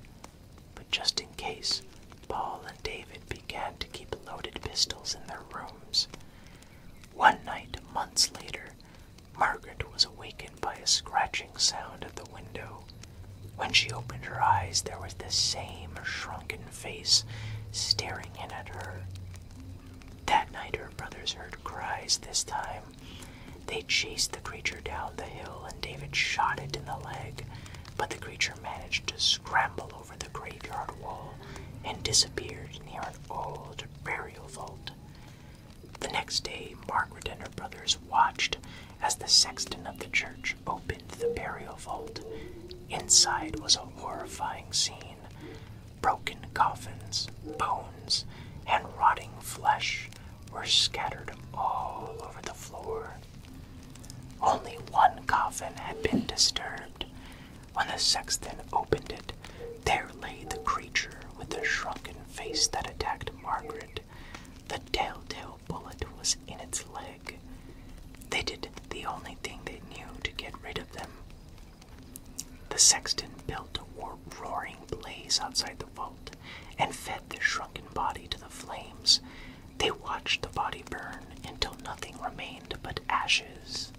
But just in case, Paul and David began to keep loaded pistols in their rooms. One night, months later, Margaret was awakened by a scratching sound at the window. When she opened her eyes, there was the same shrunken face staring in at her. That night, her brothers heard cries this time. They chased the creature down the hill, and David shot it in the leg, but the creature managed to scramble over the graveyard wall and disappeared near an old burial vault. The next day, Margaret and her brothers watched as the sexton of the church opened the burial vault. Inside was a horrifying scene broken coffins, bones, and rotting flesh were scattered all over the floor. Only one coffin had been disturbed. When the sexton opened it, there lay the creature with the shrunken face that attacked Margaret. The telltale bullet was in its leg. They did the only thing they knew to get rid of them. The sexton built a roaring blaze outside the vault and fed the shrunken body to the flames. They watched the body burn until nothing remained but ashes.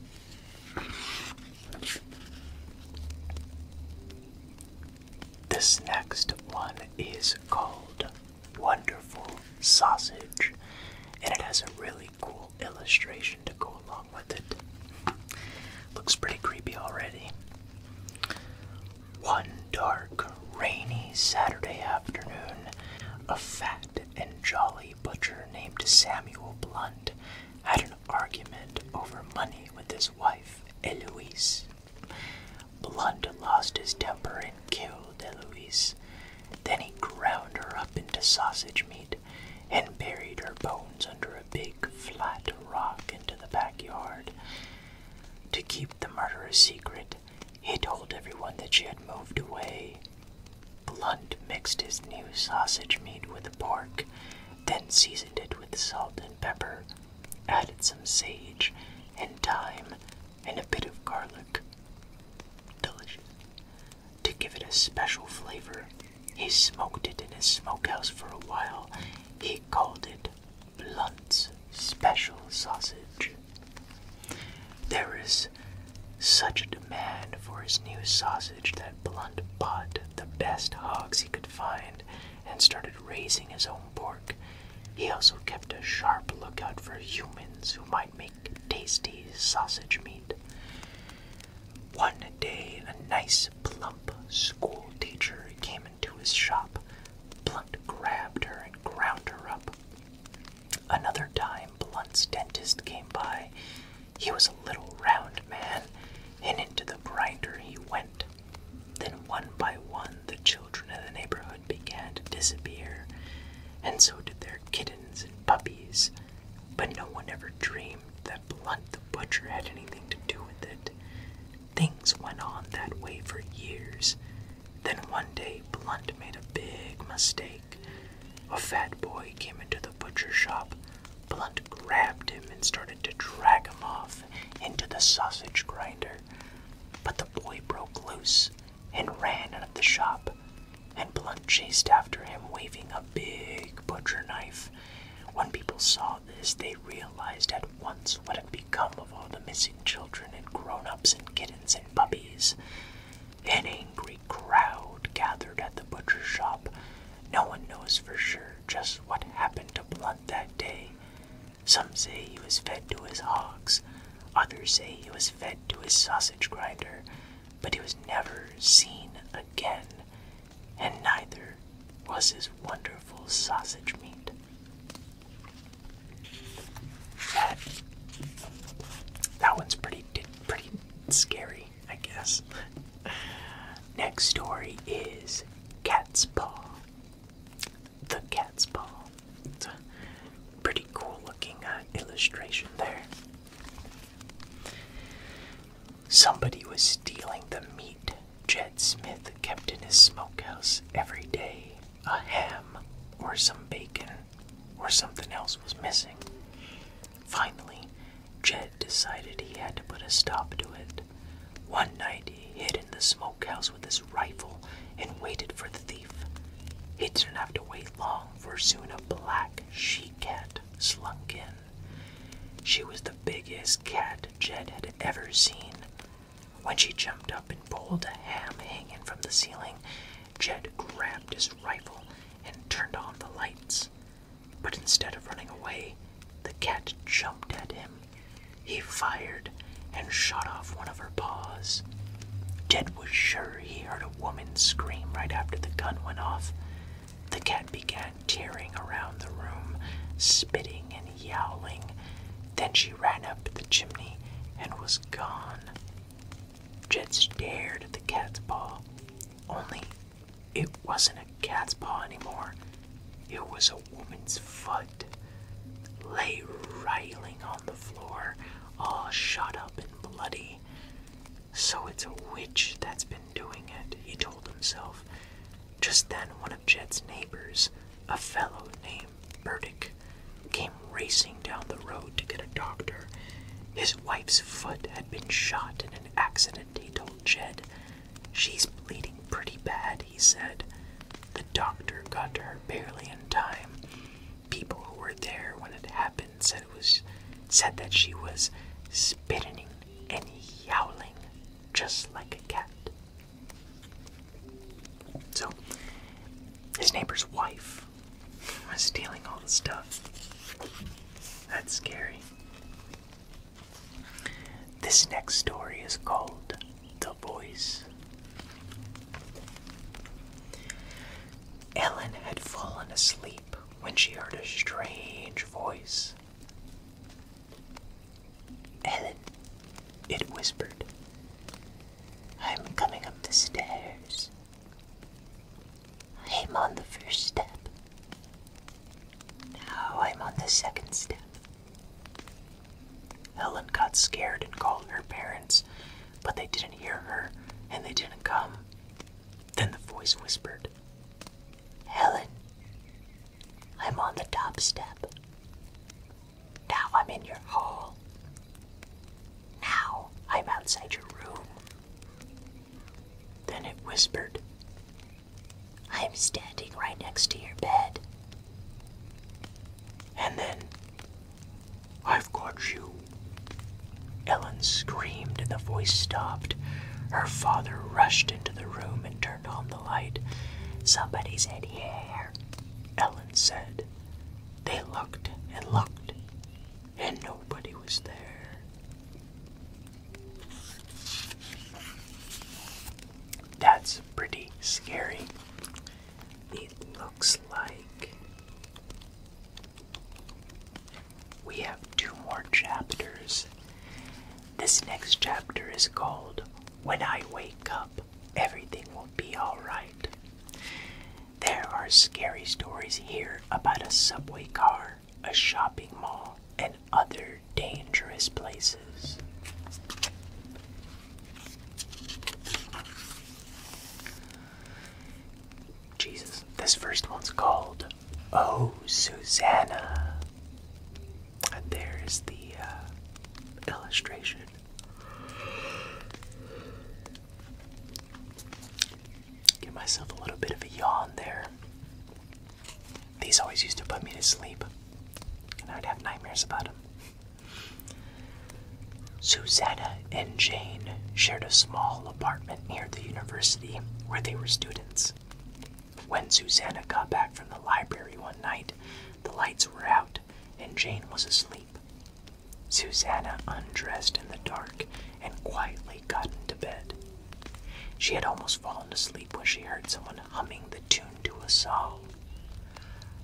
This next one is called Wonderful Sausage, and it has a really cool illustration to go along with it. Looks pretty creepy already. One dark, rainy Saturday afternoon, a fat and jolly butcher named Samuel Blunt had an argument over money with his wife, Eloise. Blunt lost his temper and killed Eloise. Then he ground her up into sausage meat and buried her bones under a big flat rock into the backyard. To keep the murder a secret, he told everyone that she had moved away. Blunt mixed his new sausage meat with the pork, then seasoned it with salt and pepper added some sage and thyme and a bit of garlic. Delicious. To give it a special flavor, he smoked it in his smokehouse for a while. He called it Blunt's Special Sausage. There is such a demand for his new sausage that Blunt bought the best hogs he could find and started raising his own pork. He also kept a sharp lookout for humans who might make tasty sausage meat. One day, a nice, plump school teacher came into his shop. Blunt grabbed her and ground her up. Another time, Blunt's dentist came by. He was a little round man, and into the grinder he went. Then, one by one, the children of the neighborhood began to disappear, and so did their kittens and puppies. But no one ever dreamed that Blunt the Butcher had anything to do with it. Things went on that way for years. Then one day, Blunt made a big mistake. A fat boy came into the butcher shop. Blunt grabbed him and started to drag him off into the sausage grinder, but the boy broke loose and ran out of the shop, and Blunt chased after him waving a big butcher knife. When people saw this, they realized at once what had become of all the missing children and grown-ups and kittens and puppies. An angry crowd gathered at the butcher shop. No one knows for sure just what happened to Blunt that day, some say he was fed to his hogs, others say he was fed to his sausage grinder, but he was never seen again, and neither was his wonderful sausage meat. That, that one's pretty, pretty scary, I guess. [laughs] Next story is Cat's Paw the cat's paw. It's a pretty cool looking uh, illustration there. Somebody was stealing the meat Jed Smith kept in his smokehouse every day. A ham or some bacon or something else was missing. Finally, Jed decided he had to put a stop to it. One night he hid in the smokehouse with his rifle and waited for the thief. He didn't have to wait long, for soon a black she cat slunk in. She was the biggest cat Jed had ever seen. When she jumped up and pulled a ham hanging from the ceiling, Jed grabbed his rifle and turned on the lights. But instead of running away, the cat jumped at him he fired and shot off one of her paws. Jed was sure he heard a woman scream right after the gun went off. The cat began tearing around the room, spitting and yowling. Then she ran up the chimney and was gone. Jed stared at the cat's paw, only it wasn't a cat's paw anymore. It was a woman's foot lay writhing on the floor, all shot up and bloody. So it's a witch that's been doing it, he told himself. Just then, one of Jed's neighbors, a fellow named Burdick, came racing down the road to get a doctor. His wife's foot had been shot in an accident, he told Jed. She's bleeding pretty bad, he said. The doctor got her barely in time. People who were there when it happened said it was said that she was spitting and yowling just like a cat. So his neighbor's wife was stealing all the stuff. That's scary. This next story is called The Voice. Ellen had fallen asleep when she heard a strange voice. Ellen, it whispered, I'm coming up the stairs. I'm on the first step. Now I'm on the second step. Helen got scared and called her parents, but they didn't hear her and they didn't come. Then the voice whispered, Helen, I'm on the top step. Now I'm in your hall. Now I'm outside your room. Then it whispered, I am standing right next to your bed. And then, I've got you. Ellen screamed and the voice stopped. Her father rushed into the room and turned on the light. Somebody said, Here, Ellen said. They looked and looked, and nobody was there. That's pretty scary. It looks like we have two more chapters. This next chapter is called When I Wake Up, Everything Will Be Alright. There are scary stories here about a subway car, a shopping mall, and others dangerous places. Jesus, this first one's called Oh Susanna. And there's the uh, illustration. Give myself a little bit of a yawn there. These always used to put me to sleep, and I'd have nightmares about them. Susanna and Jane shared a small apartment near the university where they were students. When Susanna got back from the library one night, the lights were out and Jane was asleep. Susanna undressed in the dark and quietly got into bed. She had almost fallen asleep when she heard someone humming the tune to a song.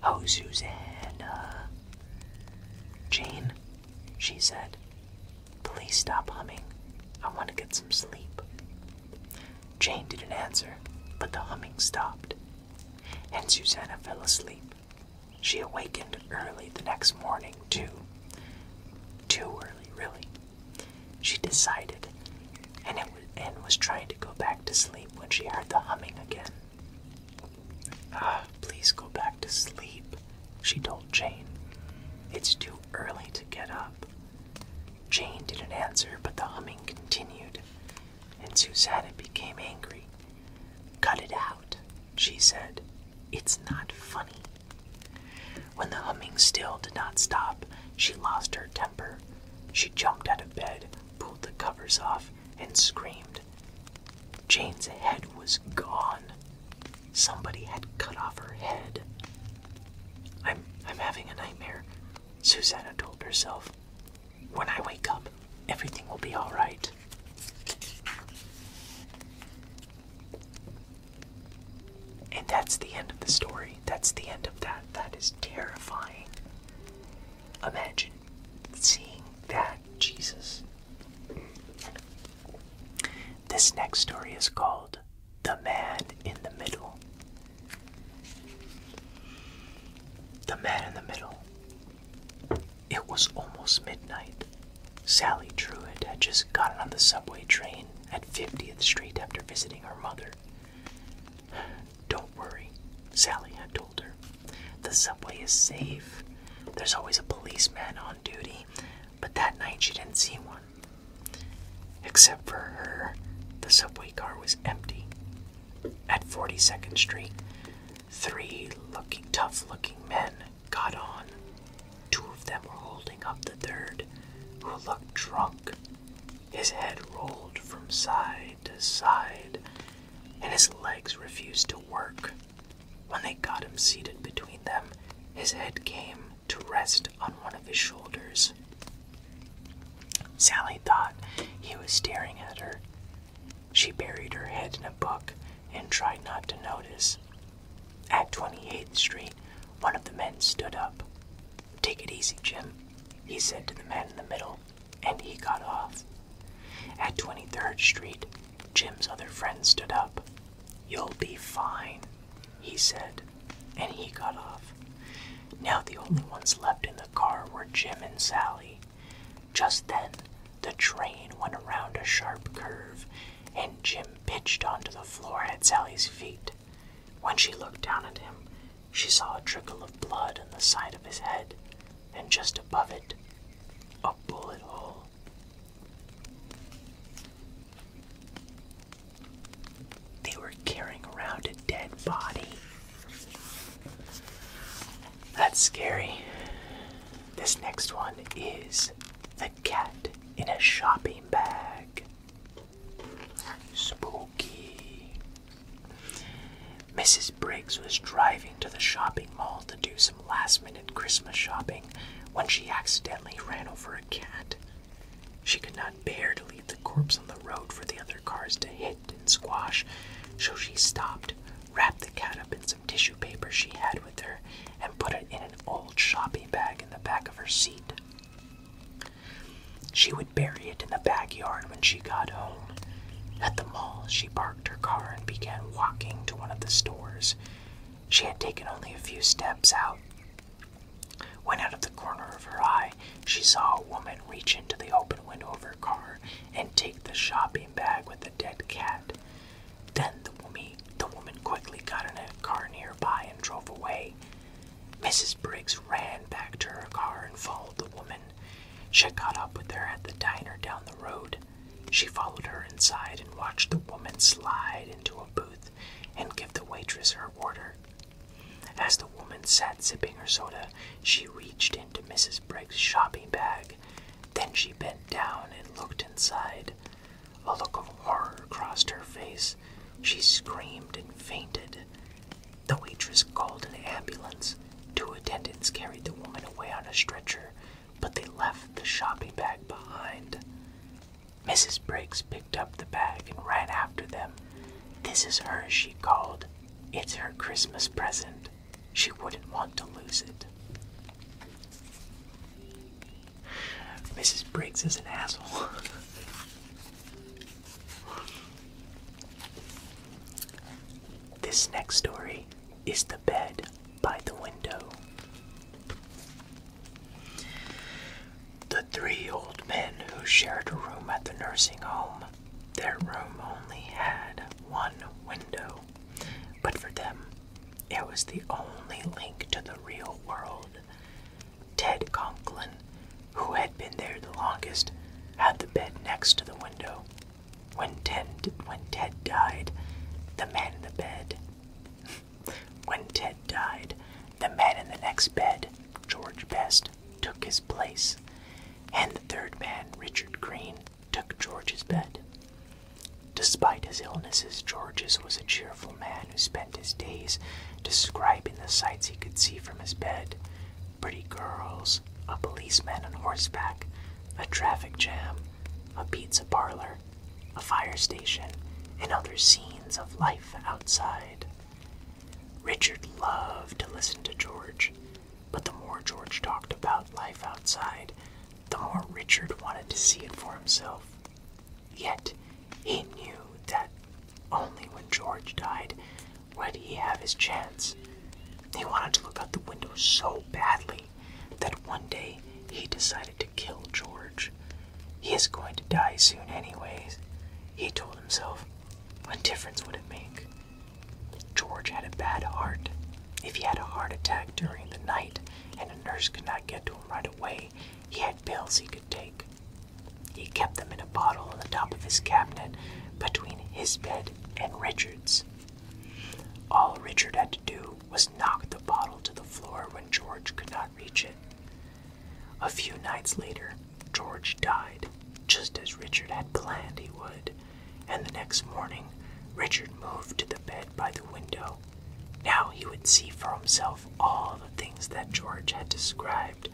Oh, Susanna. Jane, she said, please stop humming. I want to get some sleep. Jane didn't answer, but the humming stopped, and Susanna fell asleep. She awakened early the next morning, too. Too early, really. She decided, and, was, and was trying trying to go back to sleep when she heard the humming again. Ah, please go back to sleep, she told Jane. It's too early to get up. Jane didn't answer, but the humming continued, and Susanna became angry. Cut it out, she said. It's not funny. When the humming still did not stop, she lost her temper. She jumped out of bed, pulled the covers off, and screamed. Jane's head was gone. Somebody had cut off her head. I'm I'm having a nightmare, Susanna told herself. When I wake up, everything will be all right. And that's the end of the story. That's the end of that. That is terrifying. Imagine seeing that Jesus. This next story is called The Man in the Middle. The Man in the Middle. It was almost midnight. Sally Truitt had just gotten on the subway train at 50th Street after visiting her mother. Don't worry, Sally had told her. The subway is safe. There's always a policeman on duty, but that night she didn't see one. Except for her, the subway car was empty. At 42nd Street, three looking, tough looking men got on. Two of them were holding up the third, who looked drunk. His head rolled from side side side, and his legs refused to work. When they got him seated between them, his head came to rest on one of his shoulders. Sally thought he was staring at her. She buried her head in a book and tried not to notice. At 28th Street, one of the men stood up. Take it easy, Jim, he said to the man in the middle and he got off. At 23rd Street, Jim's other friend stood up. You'll be fine, he said, and he got off. Now the only ones left in the car were Jim and Sally. Just then, the train went around a sharp curve, and Jim pitched onto the floor at Sally's feet. When she looked down at him, she saw a trickle of blood on the side of his head, and just above it, a bullet hole. They were carrying around a dead body. That's scary. This next one is the cat in a shopping bag. Spooky. Mrs. Briggs was driving to the shopping mall to do some last minute Christmas shopping when she accidentally ran over a cat. She could not bear to leave the corpse on the road for the other cars to hit and squash, so she stopped, wrapped the cat up in some tissue paper she had with her, and put it in an old shopping bag in the back of her seat. She would bury it in the backyard when she got home. At the mall, she parked her car and began walking to one of the stores. She had taken only a few steps out when out of the corner of her eye she saw a woman reach into the open window of her car and take the shopping bag with the dead cat. Then the woman, quickly got in a car nearby and drove away. Mrs. Briggs ran back to her car and followed the woman. She caught up with her at the diner down the road. She followed her inside and watched the woman slide into a booth and give the waitress her order. As the woman sat sipping her soda, she reached into Mrs. Briggs' shopping bag. Then she bent down and looked inside. A look of horror crossed her face. She screamed and fainted. The waitress called an ambulance. Two attendants carried the woman away on a stretcher, but they left the shopping bag behind. Mrs. Briggs picked up the bag and ran after them. This is hers, she called. It's her Christmas present. She wouldn't want to lose it. Mrs. Briggs is an asshole. [laughs] This next story is The Bed by the Window. The three old men who shared a room at the nursing home, their room only had one window, but for them, it was the only link to the real world. Ted Conklin who had been there the longest, had the bed next to the window. When Ted, when Ted died, the man in the bed. [laughs] when Ted died, the man in the next bed, George Best, took his place, and the third man, Richard Green, took George's bed. Despite his illnesses, George's was a cheerful man who spent his days describing the sights he could see from his bed, pretty girls, a policeman on horseback, a traffic jam, a pizza parlor, a fire station, and other scenes of life outside. Richard loved to listen to George, but the more George talked about life outside, the more Richard wanted to see it for himself. Yet, he knew that only when George died did he have his chance. He wanted to look out the window so badly that one day he decided to kill George. He is going to die soon, anyways, he told himself. What difference would it make? George had a bad heart. If he had a heart attack during the night and a nurse could not get to him right away, he had pills he could take. He kept them in a bottle on the top of his cabinet between his bed and Richard's. All Richard had to do was knock the bottle to the floor when George could not reach it. A few nights later, George died, just as Richard had planned he would, and the next morning, Richard moved to the bed by the window. Now he would see for himself all the things that George had described.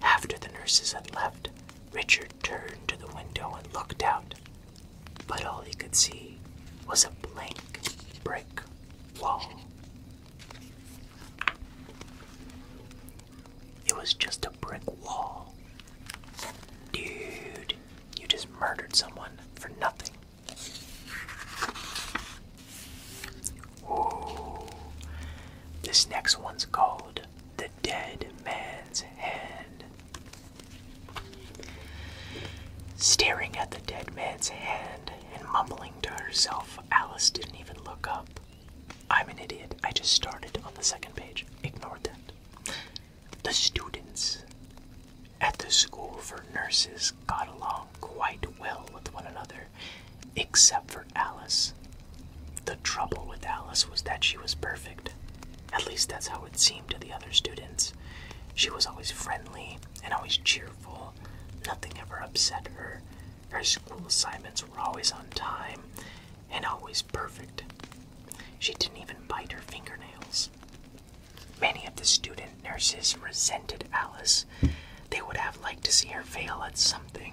After the nurses had left, Richard turned to the window and looked out, but all he could see was a blank brick wall. It was just a brick wall. Dude, you just murdered someone for nothing. Ooh. This next one's called The dead man's hand. Staring at the dead man's hand and mumbling to herself, Alice didn't even look up. I'm an idiot. I just started on the second page. Ignored that. The students at the school for nurses got along quite well with one another except for Alice. The trouble with Alice was that she was perfect. At least that's how it seemed to the other students. She was always friendly and always cheerful. Nothing ever upset her. Her school assignments were always on time and always perfect. She didn't even bite her fingernails. Many of the student nurses resented Alice. They would have liked to see her fail at something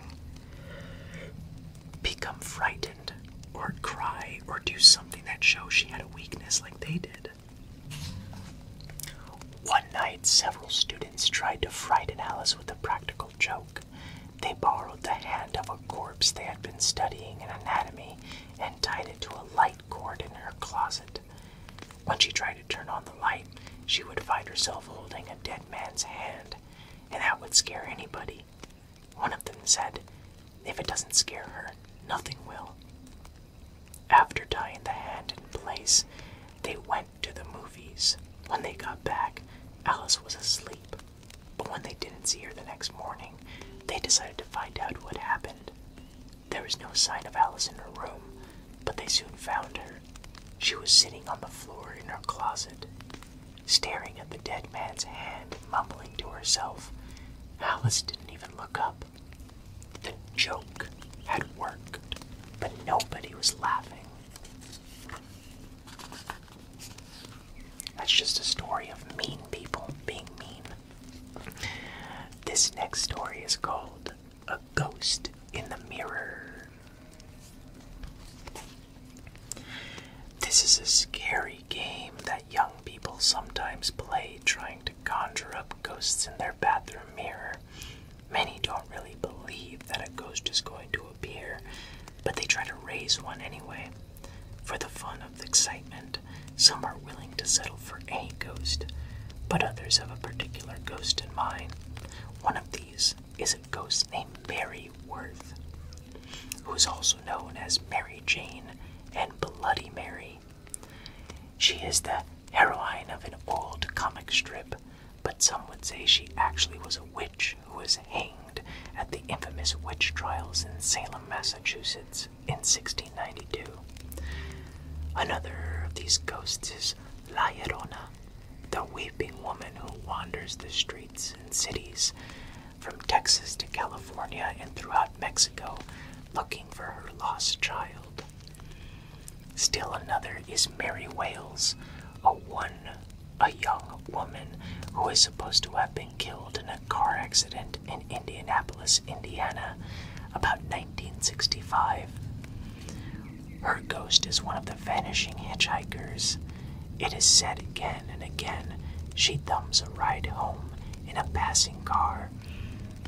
become frightened or cry or do something that shows she had a weakness like they did. One night, several students tried to frighten Alice with a practical joke. They borrowed the hand of a corpse they had been studying in anatomy and tied it to a light cord in her closet. When she tried to turn on the light, she would find herself holding a dead man's hand, and that would scare anybody. One of them said, If it doesn't scare her, nothing will. After tying the hand in place, they went to the movies. When they got back, Alice was asleep. But when they didn't see her the next morning, they decided to find out what happened. There was no sign of Alice in her room, but they soon found her. She was sitting on the floor in her closet staring at the dead man's hand, mumbling to herself. Alice didn't even look up. The joke had worked, but nobody was laughing. That's just a story of mean people being mean. This next story is called A Ghost in the Mirror. This is a scary game that young people sometimes play trying to conjure up ghosts in their bathroom mirror. Many don't really believe that a ghost is going to appear, but they try to raise one anyway. For the fun of the excitement, some are willing to settle for any ghost, but others have a particular ghost in mind. One of these is a ghost named Barry. Worth, who is also known as Mary Jane and Bloody Mary. She is the heroine of an old comic strip, but some would say she actually was a witch who was hanged at the infamous witch trials in Salem, Massachusetts in 1692. Another of these ghosts is La Llorona, the weeping woman who wanders the streets and cities from Texas to California and throughout Mexico looking for her lost child. Still another is Mary Wales, a one a young woman who is supposed to have been killed in a car accident in Indianapolis, Indiana about 1965. Her ghost is one of the vanishing hitchhikers. It is said again and again she thumbs a ride home in a passing car,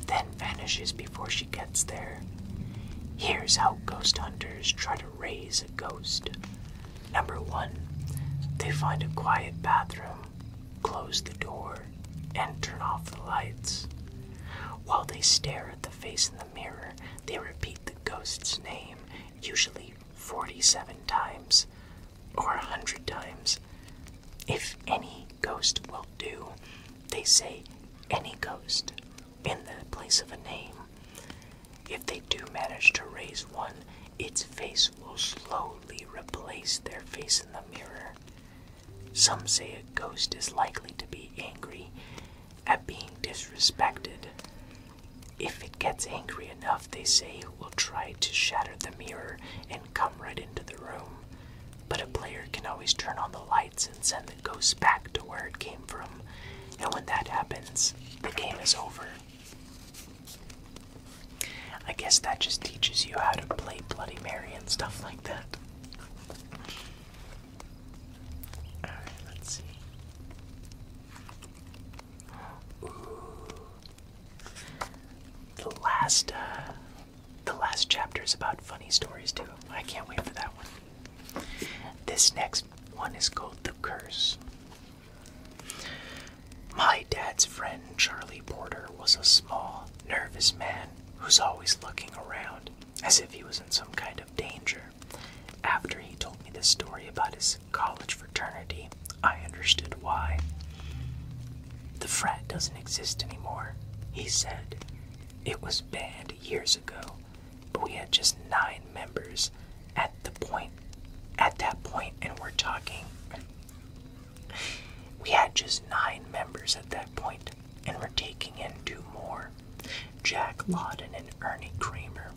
then vanishes before she gets there. Here's how ghost hunters try to raise a ghost. Number one, they find a quiet bathroom, close the door, and turn off the lights. While they stare at the face in the mirror, they repeat the ghost's name usually 47 times or 100 times. If any ghost will do, they say any ghost in the place of a name. If they do manage to raise one, its face will slowly replace their face in the mirror. Some say a ghost is likely to be angry at being disrespected if it gets angry enough, they say it will try to shatter the mirror and come right into the room. But a player can always turn on the lights and send the ghost back to where it came from. And when that happens, the game is over. I guess that just teaches you how to play Bloody Mary and stuff like that. Alright, let's see. The last, uh, the last chapter is about funny stories too. I can't wait for that one. This next one is called The Curse. My dad's friend Charlie Porter was a small, nervous man who's always looking around as if he was in some kind of danger. After he told me this story about his college fraternity, I understood why. The frat doesn't exist anymore, he said. It was banned years ago, but we had just nine members at the point at that point and we're talking we had just nine members at that point and we're taking in two more. Jack Lawden and Ernie Kramer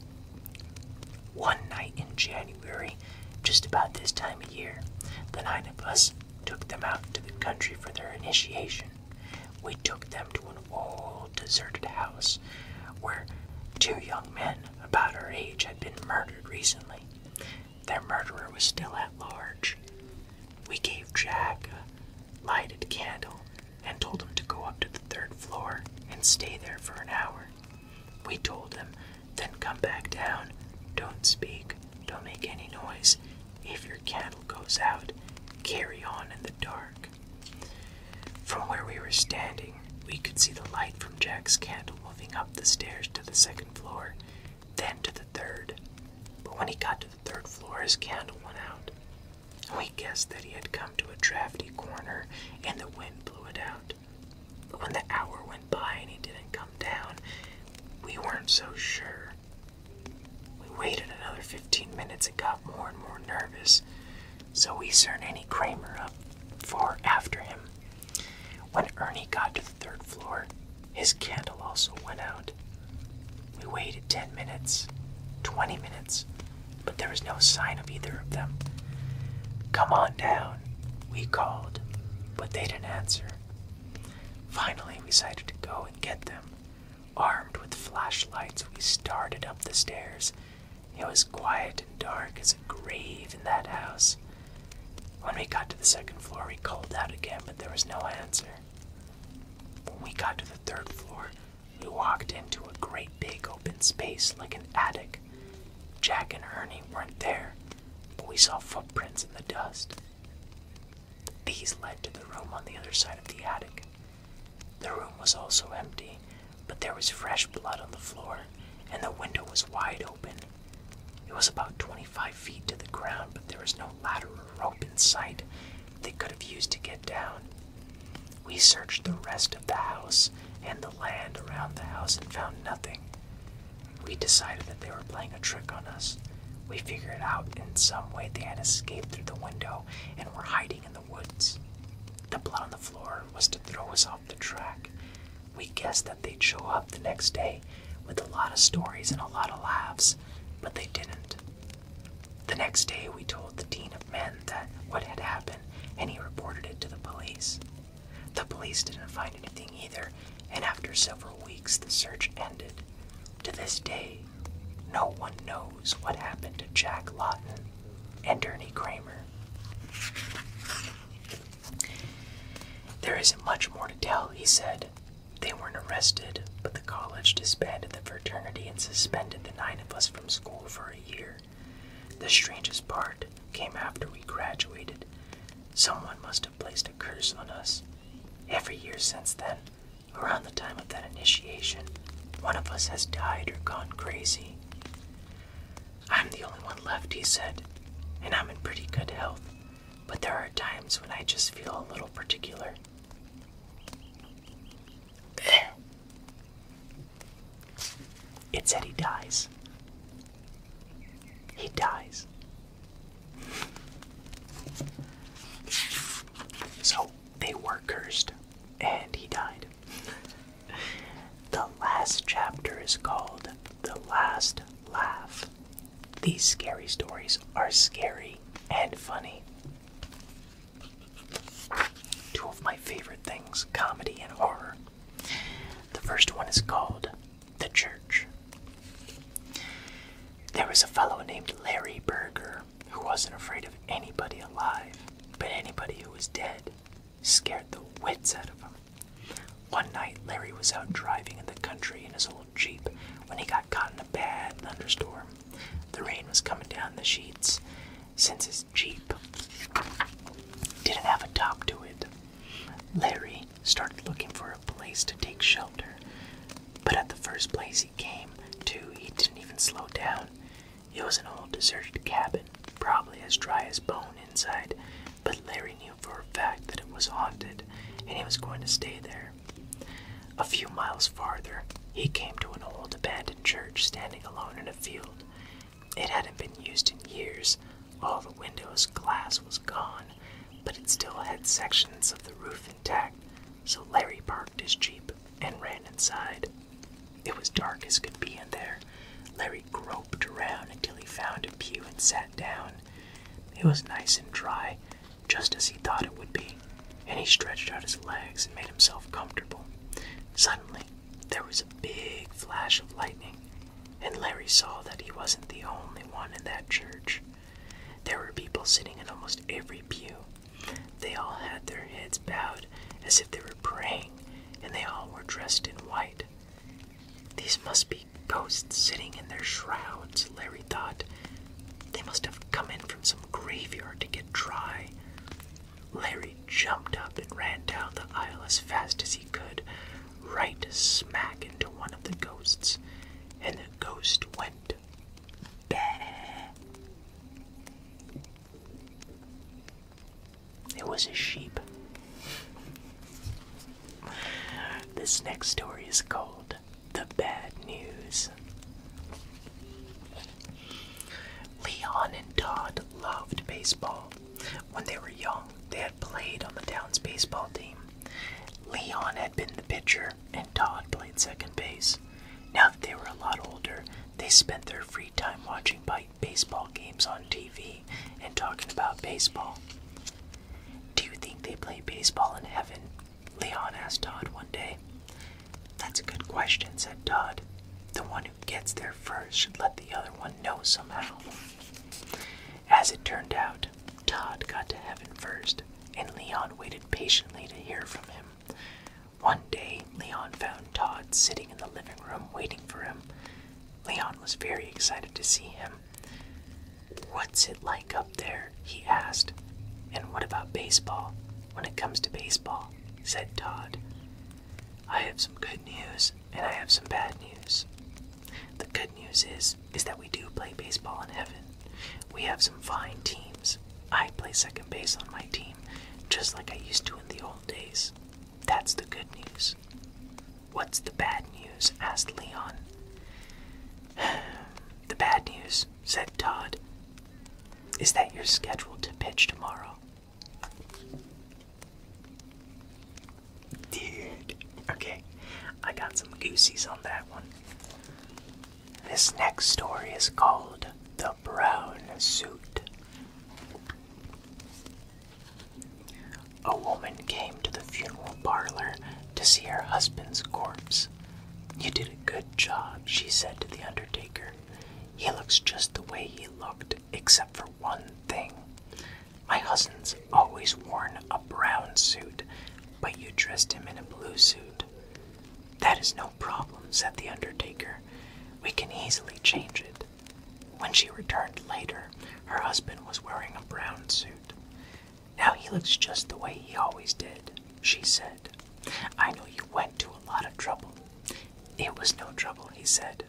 one night in January, just about this time of year, the nine of us took them out to the country for their initiation. We took them to an old deserted house where two young men about our age had been murdered recently. Their murderer was still at large. We gave Jack a lighted candle and told him to go up to the third floor and stay there for an hour. We told him, then come back down. Don't speak, don't make any noise. If your candle goes out, carry on in the dark. From where we were standing, we could see the light from Jack's candle moving up the stairs to the second floor, then to the third. But when he got to the third floor, his candle went out. We guessed that he had come to a drafty corner and the wind blew it out. But when the hour went by and he didn't come down, we weren't so sure. We waited another 15 minutes and got more and more nervous, so we sent Ernie Kramer up for after him. When Ernie got to the third floor, his candle also went out. We waited 10 minutes, 20 minutes, but there was no sign of either of them. Come on down, we called, but they didn't answer. Finally, we decided to go and get them. Armed with flashlights, we started up the stairs. It was quiet and dark as a grave in that house. When we got to the second floor, we called out again, but there was no answer. When we got to the third floor, we walked into a great big open space like an attic. Jack and Ernie weren't there, but we saw footprints in the dust. These led to the room on the other side of the attic. The room was also empty, but there was fresh blood on the floor, and the window was wide open. It was about 25 feet to the ground, but there was no ladder or rope in sight they could have used to get down. We searched the rest of the house and the land around the house and found nothing. We decided that they were playing a trick on us. We figured out in some way they had escaped through the window and were hiding in the woods. The blood on the floor was to throw us off the track. We guessed that they'd show up the next day with a lot of stories and a lot of laughs, but they didn't. The next day, we told the dean of men that what had happened, and he reported it to the police. The police didn't find anything either, and after several weeks, the search ended. To this day, no one knows what happened to Jack Lawton and Ernie Kramer. There isn't much more to tell, he said. They weren't arrested, but the college disbanded the fraternity and suspended the nine of us from school for a year. The strangest part came after we graduated. Someone must have placed a curse on us. Every year since then, around the time of that initiation, one of us has died or gone crazy. I'm the only one left, he said, and I'm in pretty good health, but there are times when I just feel a little particular. [clears throat] It said he dies. He dies. So they were cursed, and he died. The last chapter is called The Last Laugh. These scary stories are scary and funny. Two of my favorite things comedy and horror the first one is called The Church. There was a fellow named Larry Berger who wasn't afraid of anybody alive, but anybody who was dead scared the wits out of him. One night, Larry was out driving in the country in his old Jeep when he got caught in a bad thunderstorm. The rain was coming down the sheets. Since his cheap. Didn't have a top to it. Larry started looking for a place to take shelter, but at the first place he came to, he didn't even slow down. It was an old deserted cabin, probably as dry as bone inside, but Larry knew for a fact that it was haunted and he was going to stay there. A few miles farther, he came to an old abandoned church standing alone in a field. It hadn't been used in years. All the windows glass was gone, but it still had sections of the roof intact, so Larry parked his Jeep and ran inside. It was dark as could be in there. Larry groped around until he found a pew and sat down. It was nice and dry, just as he thought it would be, and he stretched out his legs and made himself comfortable. Suddenly, there was a big flash of lightning, and Larry saw that he wasn't the only one in that church. There were people sitting in almost every pew. They all had their heads bowed as if they were praying, and they all were dressed in white. These must be ghosts sitting in their shrouds, Larry thought. They must have come in from some graveyard to get dry. Larry jumped up and ran down the aisle as fast as he could, right smack into one of the ghosts, and the ghost went bah. It was a sheep. This next story is called The Bad News. Leon and Todd loved baseball. When they were young, they had played on the town's baseball team. Leon had been the pitcher, and Todd played second base. Now that they were a lot older, they spent their free time watching baseball games on TV and talking about baseball. Do you think they play baseball in heaven? Leon asked Todd one day. That's a good question, said Todd. The one who gets there first should let the other one know somehow. As it turned out, Todd got to heaven first, and Leon waited patiently to hear from him. One day, Leon found Todd sitting in the living room waiting for him. Leon was very excited to see him. What's it like up there? he asked. And what about baseball? When it comes to baseball, said Todd. I have some good news, and I have some bad news. The good news is is that we do play baseball in heaven. We have some fine teams. I play second base on my team, just like I used to in the old days. That's the good news. What's the bad news? asked Leon. [sighs] the bad news, said Todd, is that you're scheduled to pitch tomorrow. Dude. Okay, I got some goosies on that one. This next story is called The Brown Suit. A woman came to the funeral parlor to see her husband's corpse. You did a good job, she said to the undertaker. He looks just the way he looked, except for one thing. My husband's always worn a brown suit, but you dressed him in a blue suit. That is no problem, said the undertaker. We can easily change it. When she returned later, her husband was wearing a brown suit. Now he looks just the way he always did, she said. I know you went to a lot of trouble. It was no trouble, he said.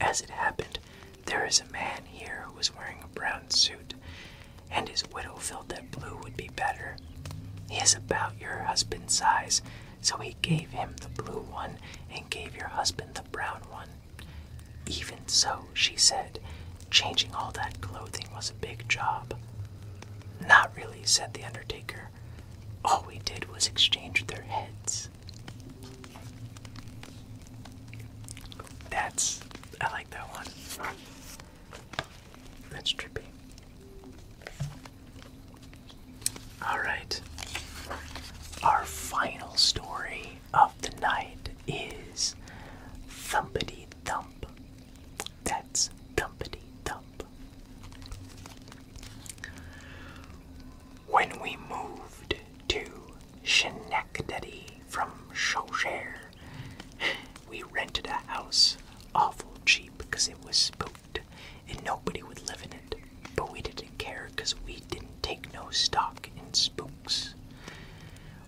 As it happened, there is a man here who was wearing a brown suit, and his widow felt that blue would be better. He is about your husband's size, so he gave him the blue one and gave your husband the brown one. Even so, she said, changing all that clothing was a big job. Not really, said the undertaker. All we did was exchange their heads. That's I like that one. That's trippy. All right. Our final story of the night is Thumpity Thump. That's Thumpity Thump. When we moved to Schenectady from Chaucher. We rented a house awful cheap because it was spooked and nobody would live in it, but we didn't care because we didn't take no stock in spooks.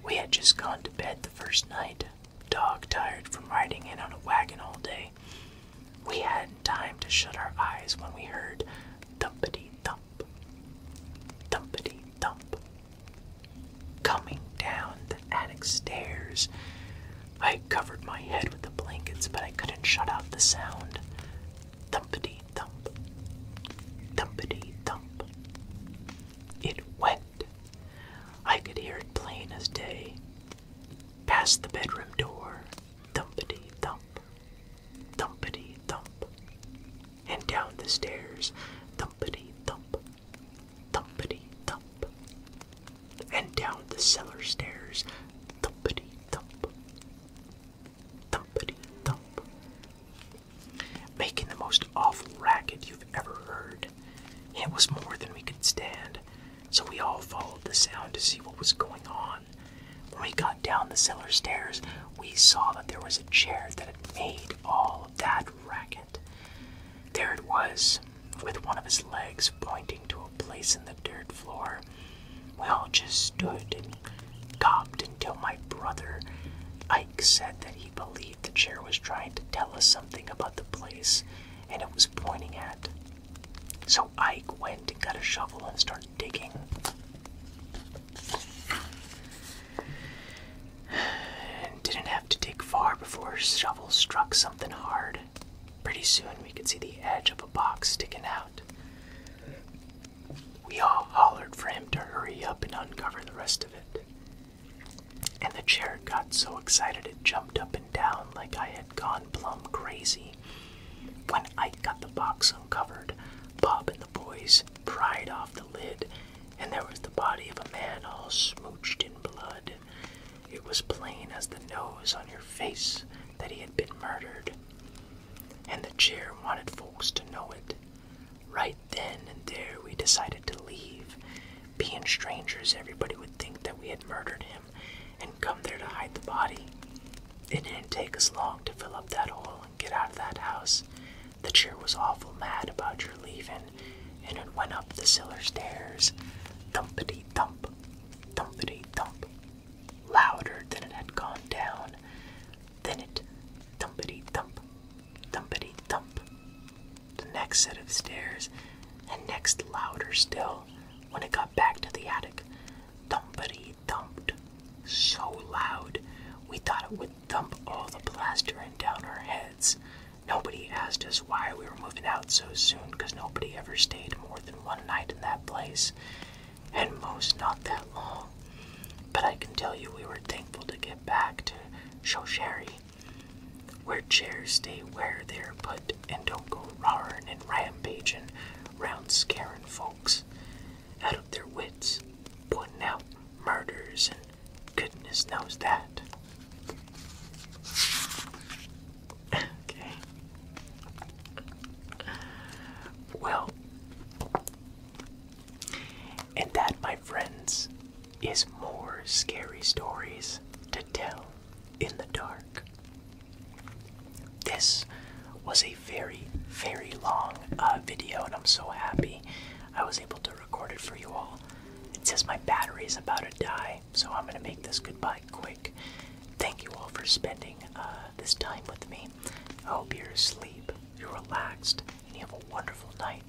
We had just gone to bed the first night, dog tired from riding in on a wagon all day. We hadn't time to shut our eyes when we heard thumpity thump thumpity thump. Coming down the attic stairs, I covered my head with the blankets, but I couldn't shut out the sound. Thumpity thump, thumpity thump. It went. I could hear it plain as day. Past the bedroom door, thumpity thump, thumpity thump. And down the stairs, thumpity thump, thumpity thump. And down the cellar stairs, thumpity thump, thumpity thump. Making the most awful racket you've ever heard. It was more than we could stand, so we all followed the sound to see what was going on. When we got down the cellar stairs, we saw that there was a chair that had made all that racket. There it was, with one of his legs pointing to a place in the dirt floor. We all just stood and gawped until my brother Ike said that he believed the chair was trying to tell us something about the place and it was pointing at. So Ike went and got a shovel and started digging. [sighs] Didn't have to dig far before her shovel struck something hard. Pretty soon we could see the edge of a box sticking out. We all hollered for him to hurry up and uncover the rest of it. And the chair got so excited it jumped up and down like I had gone plumb crazy when I got the box uncovered, Bob and the boys pried off the lid, and there was the body of a man all smooched in blood. It was plain as the nose on your face that he had been murdered. And the chair wanted folks to know it. Right then and there, we decided to leave. Being strangers, everybody would think that we had murdered him and come there to hide the body. It didn't take us long to fill up that hole and get out of that house. The cheer was awful mad about your leaving, and it went up the cellar stairs, thumpity thump, thumpity thump, louder than it had gone down. Then it thumpity thump, thumpity thump, the next set of stairs, and next louder still when it got back to the attic, thumpity thumped so loud we thought it would thump all the plaster in down our heads. Nobody asked us why we were moving out so soon because nobody ever stayed more than one night in that place, and most not that long. But I can tell you we were thankful to get back to Shoshari, where chairs stay where they are put and don't go roaring and rampaging round scaring folks out of their wits, putting out murders and goodness knows that. Okay. Well, and that, my friends, is more scary stories to tell in the dark. This was a very, very long uh, video, and I'm so happy I was able to record it for you all. It says my battery is about to die, so I'm gonna make this goodbye quick. Thank you all for spending uh, this time with me. I hope you're asleep, you're relaxed, and you have a wonderful night.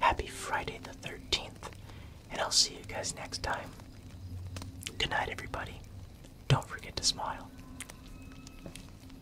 Happy Friday the 13th, and I'll see you guys next time. Good night, everybody. Don't forget to smile.